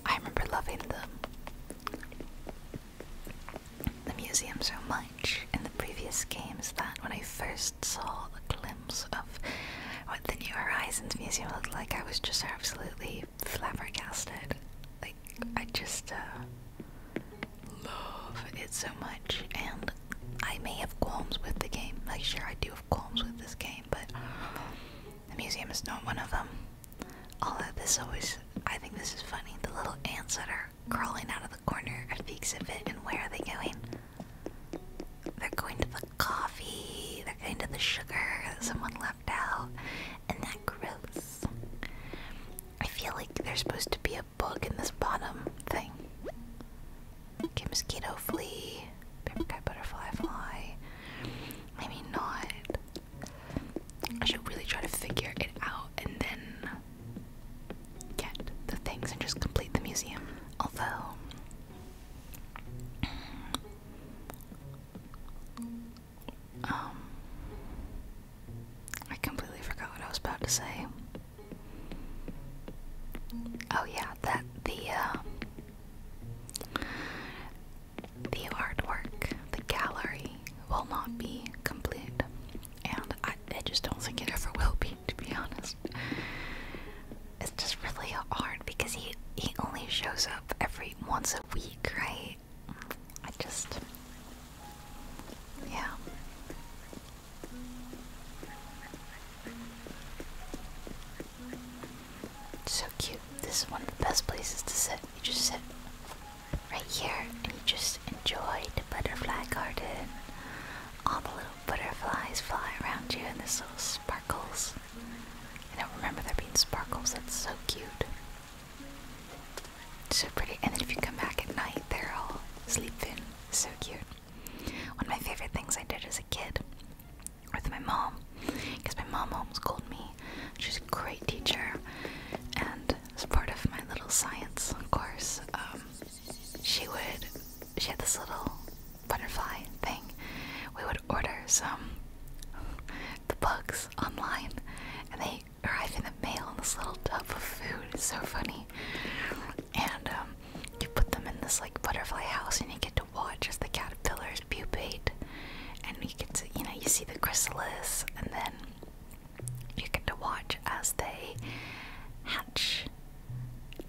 I remember loving the, the museum so much in the previous games that when I first saw a glimpse of what the New Horizons Museum looked like, I was just absolutely flabbergasted. Like, I just uh, love it so much, and I may have qualms with the game. Like, sure, I do have qualms with this game, but the museum is not one of them. Although this always, I think this is funny, the little ants that are crawling out of the corner of the exhibit, and where are they going? They're going to the coffee, they're going to the sugar that someone left out, and that gross. I feel like there's supposed to be a bug in this bottom thing. Okay, mosquito flea, butterfly fly. Maybe not. I should really try to figure it out and then get the things and just complete the museum. Although, um, I completely forgot what I was about to say. Oh yeah, that the uh, the artwork, the gallery will not be complete, and I, just don't think it ever will be, to be honest. It's just really hard because he he only shows up every once a week, right? I just, yeah. So cute. This is one of the best places to sit. You just sit right here and you just enjoy the butterfly garden. All the little butterflies fly around you and this little sparkles. I don't remember there being sparkles, that's so cute. So pretty. And then if you come back at night, they're all sleeping. So cute. One of my favorite things I did as a kid with my mom, because my mom homeschooled me She's a great teacher, and as part of my little science course, um, she would she had this little butterfly thing. We would order some the bugs online, and they arrive in the mail in this little tub of food. It's so funny, and um, you put them in this like butterfly house, and you get to watch as the caterpillars pupate, and you can see, you know, you see the chrysalis, and then you get to watch as they hatch,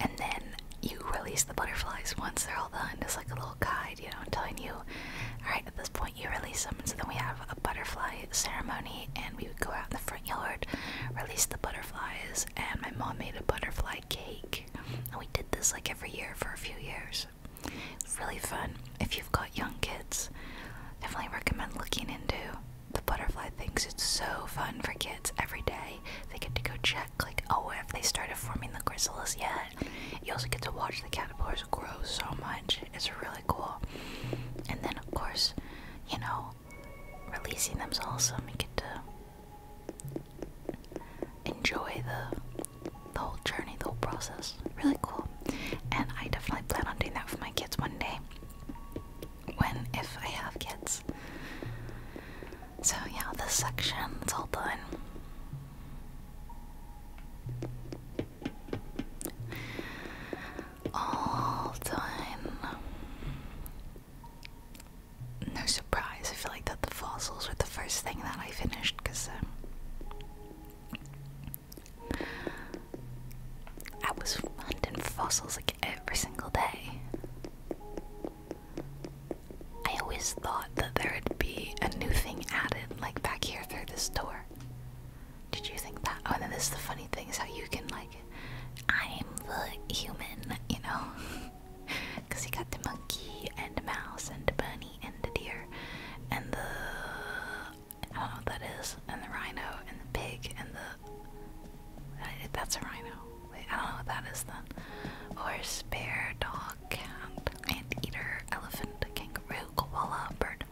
and then you release the butterflies once they're all done. It's like a little guide, you know, telling you, all right, at this point you release them. so then we have a butterfly ceremony, and we would go out in the front yard, release the butterflies, and my mom made a butterfly cake, and we did this like every year for a few years really fun. If you've got young kids, definitely recommend looking into the butterfly things. It's so fun for kids every day. They get to go check, like, oh, if they started forming the chrysalis yet? You also get to watch the caterpillars grow so much. It's really cool. And then, of course, you know, releasing them's awesome. You get to enjoy the the whole journey, the whole process. Really cool. And I definitely plan on doing that for my kids one day. When, if I have kids. So, yeah, this section, is all done. All done. No surprise, I feel like that the fossils were the first thing that I finished because um, I was hunting fossils like every single day. I always thought that there would be a new thing added, like back here through this door. Did you think that? Oh, and this is the funny thing is how you can, like, I'm the human, you know? Because you got the monkey and the mouse and the bunny ended here, and the I don't know what that is, and the rhino, and the pig, and the I, that's a rhino. Wait, I don't know what that is then. Horse, bear, dog, cat, anteater, elephant, kangaroo, koala, bird.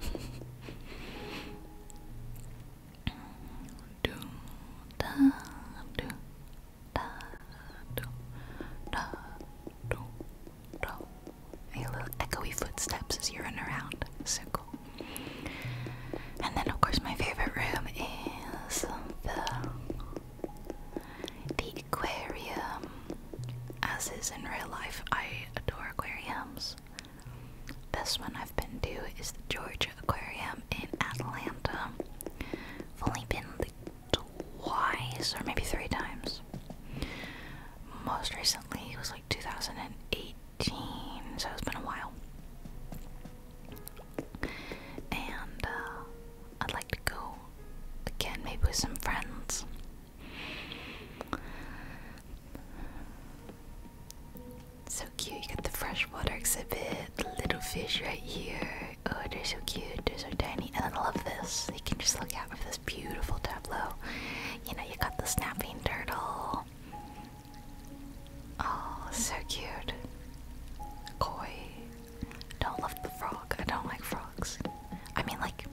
do, da, do, da, do, da, do, your little echoey footsteps as you run around. So cool. And then, of course, my favorite room is the the aquarium. As is in real life, I adore aquariums. This one I've been to is the Georgia Aquarium in Atlanta. only been twice or maybe three times. Most recently, it was like 2018, so it's been a while. And uh, I'd like to go again, maybe with some friends. So cute, you got the freshwater exhibit, little fish right here. Oh, they're so cute, they're so tiny. I love this, you can just look at have this beautiful tableau. You know, you got the snapping turtle. Oh, so cute. Koi. Don't love the frog. I don't like frogs. I mean, like,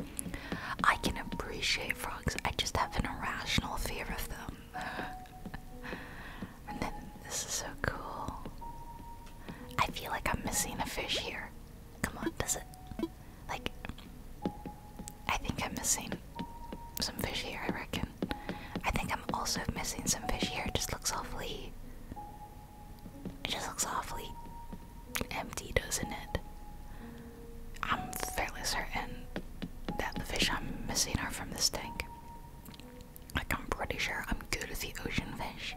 I can appreciate frogs. I just have an irrational fear of them. and then this is so cool. I feel like I'm missing a fish here. Come on, does it? Like, I think I'm missing some fish here, I reckon. I think I'm also missing some fish here. It just looks awfully. It just looks awfully empty, doesn't it? I'm fairly certain that the fish I'm missing are from this tank. Like, I'm pretty sure I'm good with the ocean fish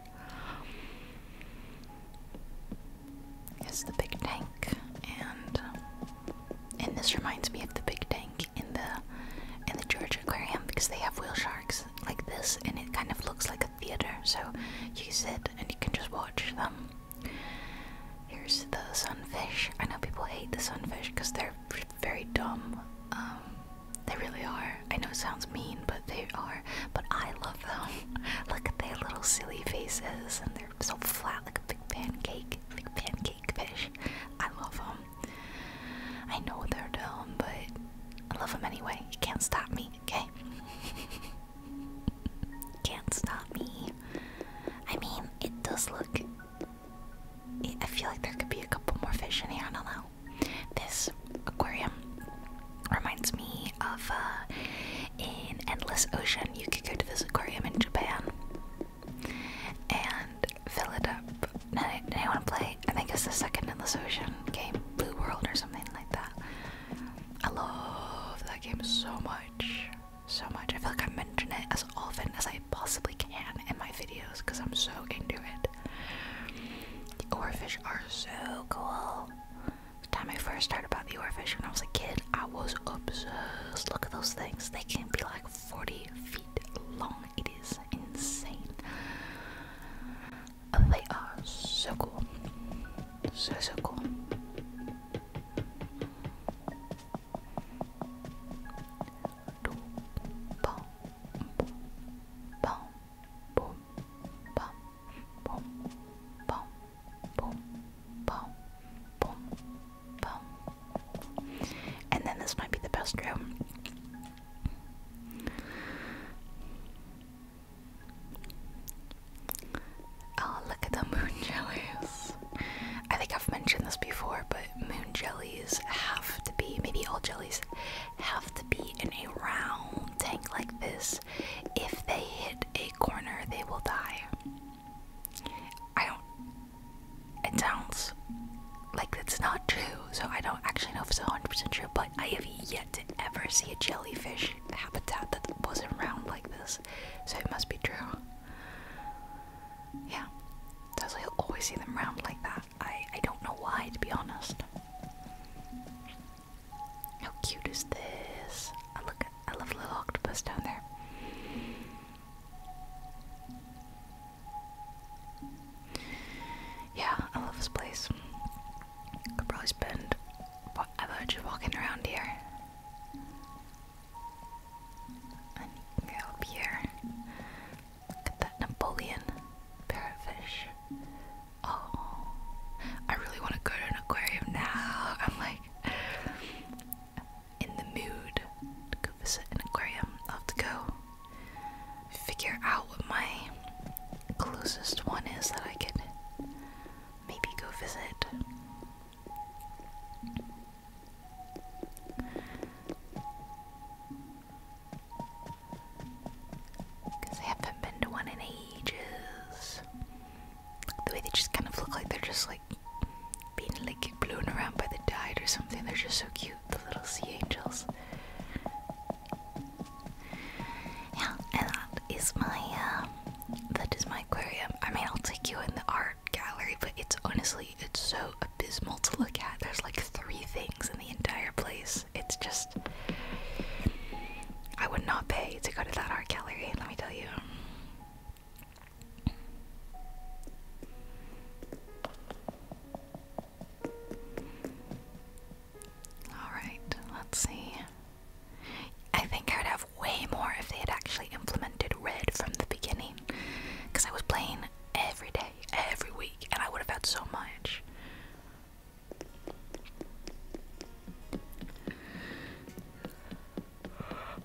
is the big tank, and um, and this reminds me of the big tank in the in the Georgia Aquarium because they have whale sharks like this, and it kind of looks like a theater. So you sit and you can just watch them. Here's the sunfish. I know people hate the sunfish because they're very dumb. Um, they really are. I know it sounds mean, but they are. But I love Look at their little silly faces, and they're so flat like a big pancake, like pancake fish. I love them. I know what they're doing, but I love them anyway. You can't stop me, okay? can't stop me. I mean, it does look. I feel like there could be a couple more fish in here. I don't know. This aquarium reminds me of uh, in Endless Ocean. You could go to this aquarium in Japan and fill it up. Now, I play, I think it's the second Endless Ocean game, Blue World or something like that. I love that game so much. So much. I feel like I mention it as often as I possibly can in my videos because I'm so into it. The oarfish are so cool. The time I first heard about the oarfish when I was a kid, I was obsessed. Look at those things. They can be like 40 feet long. It is insane. They are so cool. So, so cool boom, bum, boom, bum, boom, bum, boom, And then this might be the best room. Oh, look at the moon jellies. I think I've mentioned this before, but moon jellies have to be, maybe all jellies, have to be in a round tank like this if they hit a corner, they will die. I don't. It sounds like it's not true, so I don't actually know if it's 100% true, but I have yet to ever see a jellyfish habitat that wasn't round like this, so it must be true. Yeah, that's why always see them round like that. I, I don't know why, to be honest. How cute is this? I look I love little octopus down there. Yeah, I love this place. Could probably spend forever just walking around here. go up here. Look at that Napoleon parrotfish oh, I really want to go to an aquarium now. I'm like in the mood to go visit an aquarium. i have to go figure out what my closest one is that I could maybe go visit. Because I haven't been to one in ages the way they just kind of look like they're just like being like blown around by the tide or something. They're just so cute, the little sea angels. Yeah, and that is my um, that is my aquarium. I mean, I'll take you in the art gallery, but it's honestly it's so abysmal to look at. There's like three things in the entire place. It's just I would not pay to go to that art gallery, let me tell you. Alright, let's see. I think I would have way more if they had actually implemented red from the beginning. Because I was playing every day, every week, and I would have had so much.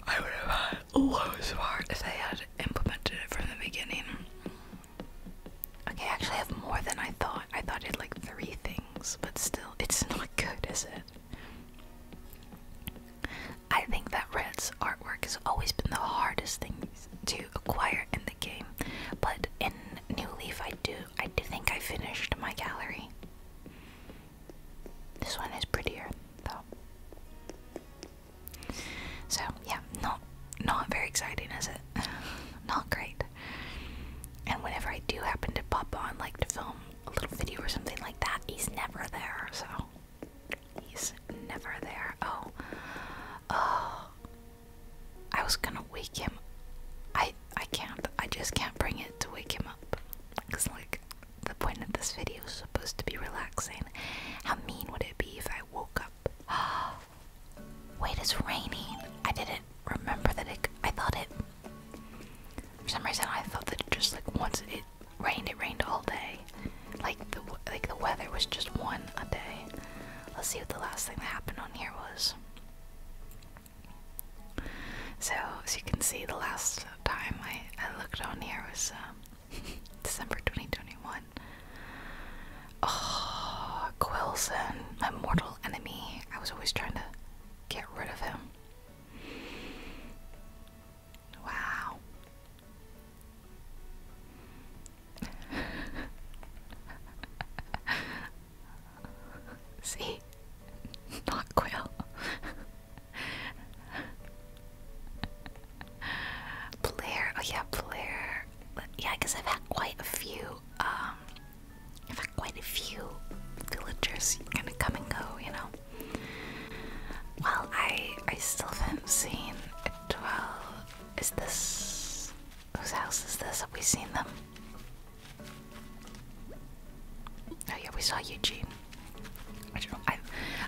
I would have had loads of art if they had implemented it from the beginning. Okay, I actually have more than I thought. I thought it had like three things, but still, it's not good, is it? I think that Red's artwork has always been the hardest thing to acquire in the game, but in New Leaf, I do I think I finished my gallery. This one is prettier though. So yeah, not not very exciting, is it? not great. And whenever I do happen to pop on like to film a little video or something like that, he's never there, so he's never there. Oh. Oh I was gonna wake him. I I can't, I just can't bring it to wake him up. Cause like, the point of this video is supposed to be relaxing. How mean would it be if I woke up? Wait, it's raining. I didn't remember that I thought it, for some reason I thought that just like once it rained, it rained all day. Like the, like the weather was just one a day. Let's see what the last thing that happened on here was. So, as you can see, the last time I, I looked on here was um, December 2021. Oh, Quilson, my mortal enemy. I was always trying to get rid of him. Wow. See? Not Quill. Blair. Oh yeah, Blair. Yeah, because I've had quite a few, um, I've had quite a few villagers kind of come and go, you know? Well, I, I still haven't seen a 12. Is this, whose house is this? Have we seen them? Oh yeah, we saw Eugene. I don't know. I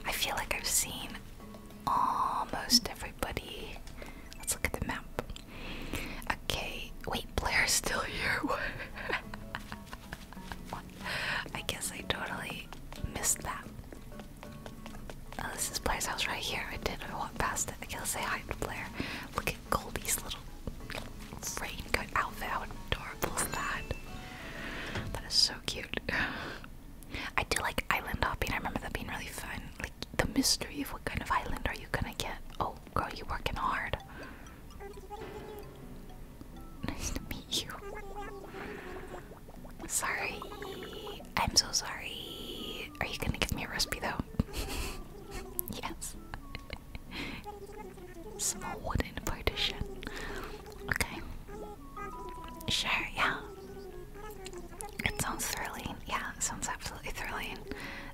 I feel like I've seen almost everybody. Let's look at the map. Okay, wait, Blair's still here. I guess I totally missed that. Oh, this Blair's house right here. I did. not walk past it. I let's say hi to Blair. Look Goldie's little raincoat outfit. How adorable is that? That is so cute. I do like island hopping. I remember that being really fun. Like the mystery of what kind of island are you gonna get? Oh, girl, you are working hard. Nice to meet you. Sorry. I'm so sorry. Are you gonna give me a recipe though? yes. Small wooden partition. Okay. Sure, yeah. It sounds thrilling. Yeah, it sounds absolutely thrilling.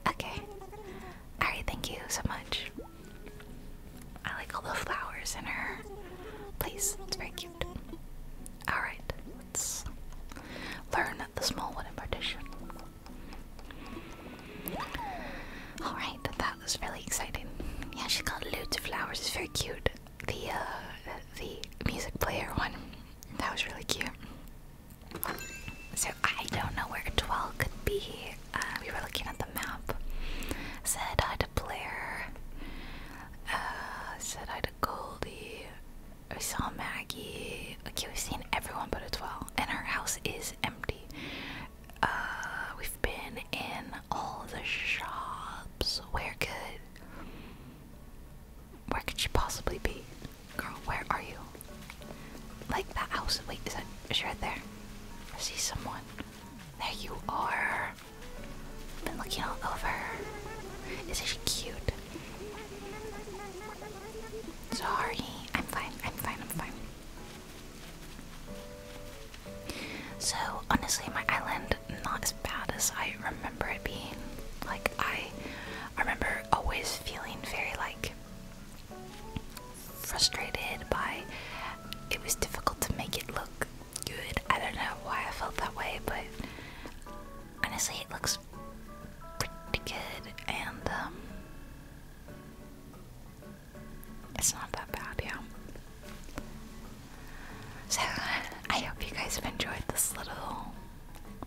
Okay. Alright, thank you so much. I like all the flowers in her place. It's very cute. Alright, let's learn the small wooden partition. Alright, that was really exciting. Yeah, she got loads of flowers, it's very cute. The uh the music player one. That was really cute. So I don't know where Twel could be. Uh, we were looking at the map. Said hi to Blair. Uh, said hi to Goldie. We saw Maggie. Okay, we've seen everyone but a 12. And our house is empty. Uh, we've been in all the shops. Where could where could she possibly be? Girl, where are you? Like that house. Wait, is that is she right there? I see someone. There you are. Been looking all over. Isn't she cute? Sorry, I'm fine, I'm fine, I'm fine. So, honestly, my island not as bad as I remember it being. Like I, I remember always feeling very like frustrated by it was difficult to make it look good. I don't know why I felt that way, but honestly, it looks pretty good and um it's not that bad, yeah. So, I hope you guys have enjoyed this little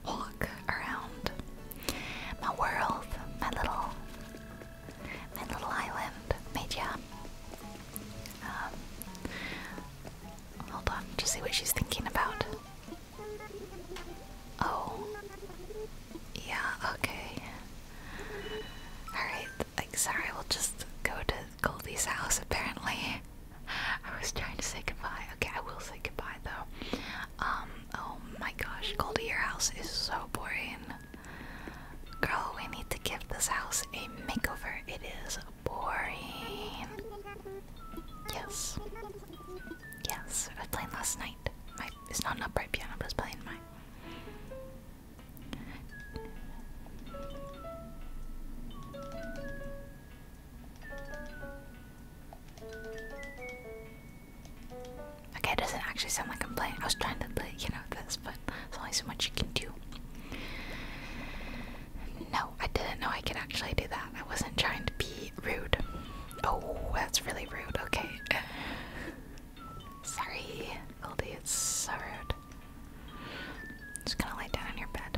walk around my world, my little, my little island, Media. Um, hold on, just see what she's thinking about. Oh. Yeah, okay. Alright, like, sorry, we'll just go to Goldie's house apparently. I was trying to say goodbye. Okay, I will say goodbye though. Um, oh my gosh, Goldie, your house is so boring. Girl, we need to give this house a makeover. It is boring. Yes. Yes, I played last night. It's not an upright piano, but it's playing my. Okay, it doesn't actually sound like I'm playing. I was trying to play, you know, this, but there's only so much you can do. No, I didn't know I could actually do that. I wasn't trying to be rude. Oh, that's really rude. Okay. Sorry, Goldie, it's so rude. I'm just gonna lay down in your bed.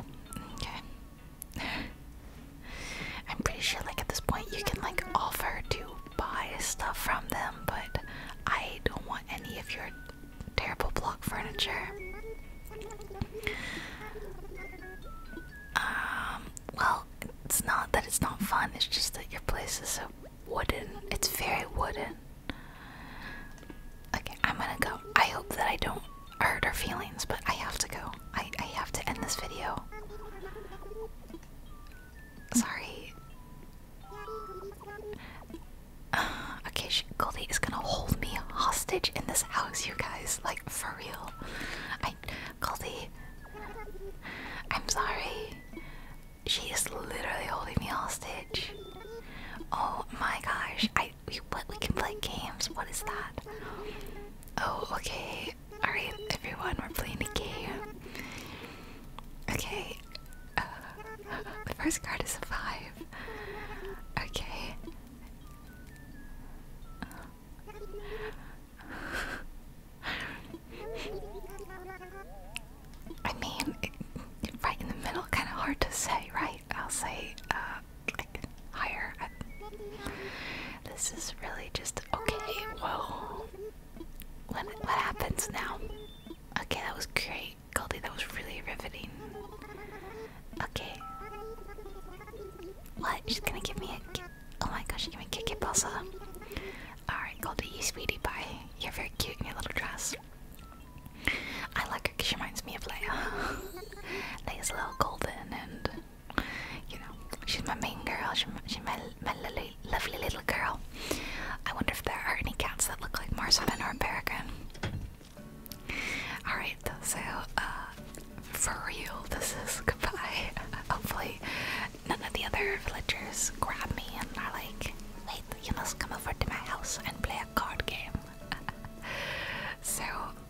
Okay. I'm pretty sure, like, at this point, you can, like, offer to buy stuff from them, but I don't want any of your terrible block furniture. Um, well, it's not that it's not fun, it's just that your place is so wooden. It's very wooden. Okay, I'm gonna go. I hope that I don't hurt her feelings, but I have to go. I, I have to end this video. Sorry. okay, she, Goldie is gonna hold me hostage in this house, you guys. Like, for real. I, Goldie, I'm sorry. She is literally holding me hostage. Oh my gosh! I we we can play games. What is that? Oh okay. All right, everyone, we're playing a game. Okay. Uh, the first card is a five. Okay. I mean, right in the middle, kind of hard to say, right? I'll say, uh, like, higher. this is really just okay. Whoa! what, what happens now? Okay, that was great, Goldie. That was really riveting. Okay. What? She's gonna give me a. Oh my gosh, you can kitty it, Bossa. Alright, go you, sweetie pie. You're very cute in your little dress. I like her because she reminds me of Leia. Leia's a little golden and, you know, she's my main girl. She's my, she's my, my lovely, little girl. I wonder if there are any cats that look like Marzipan or Peregrine. Alright, so, uh, for real, this is goodbye. Hopefully, none of the other villagers grab me and are like, wait, you must come over to my house and play a card game. so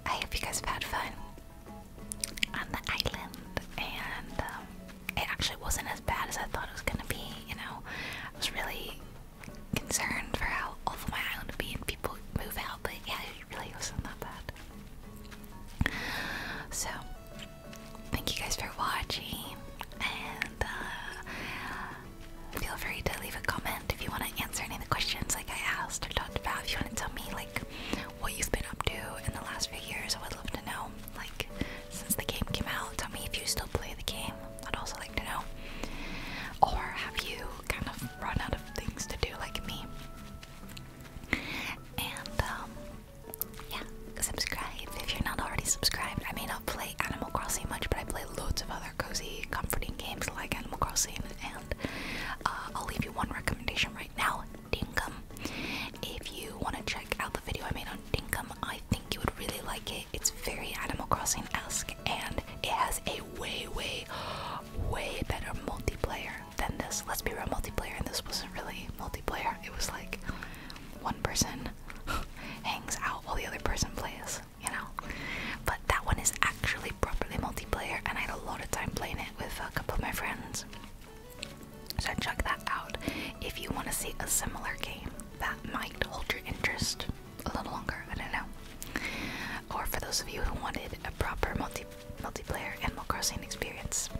I hope you guys have had fun on the island, and um, it actually wasn't as bad as I thought it was gonna be. You know, I was really concerned for how awful my island would be and people move out, but yeah, it really wasn't that bad. So thank you guys for watching, and uh, feel free to leave a comment if you want to answer any of the questions like I asked or talked about. If you want to tell me like what you've been up to in the last few years, I would love to know. Like since the game came out, tell me if you still play the game. I'd also like to know. Or have you kind of run out of things to do like me? And um, yeah, subscribe if you're not already subscribed. I may not play Animal Crossing much, but I play loads of other cozy, comforting games like Animal Crossing. And uh, I'll leave you one recommendation right now Dinkum. If you want to check out the video I made on Dinkum, I think you would really like it. It's very Animal Crossing esque and it has a way, way, way better multiplayer than this. Let's be real, multiplayer, and this wasn't really multiplayer it was like one person hangs out while the other person plays, you know? But that one is actually properly multiplayer, and I had a lot of time playing it with a couple of my friends. So check that out if you want to see a similar game that might hold your interest a little longer, I don't know. Or for those of you who wanted a proper multi multiplayer Animal Crossing experience.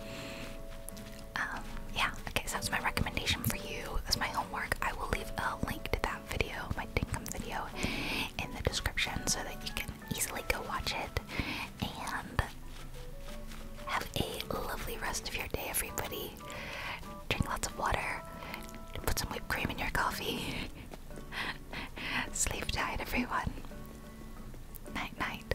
Um, yeah, okay, so that's my recommendation for you. That's my homework. I will leave a link to that video, my Dinkum video, in the description so that you can easily go watch it. And have a lovely rest of your day, everybody. Drink lots of water, put some whipped cream in your coffee. Sleep tight, everyone. Night, night.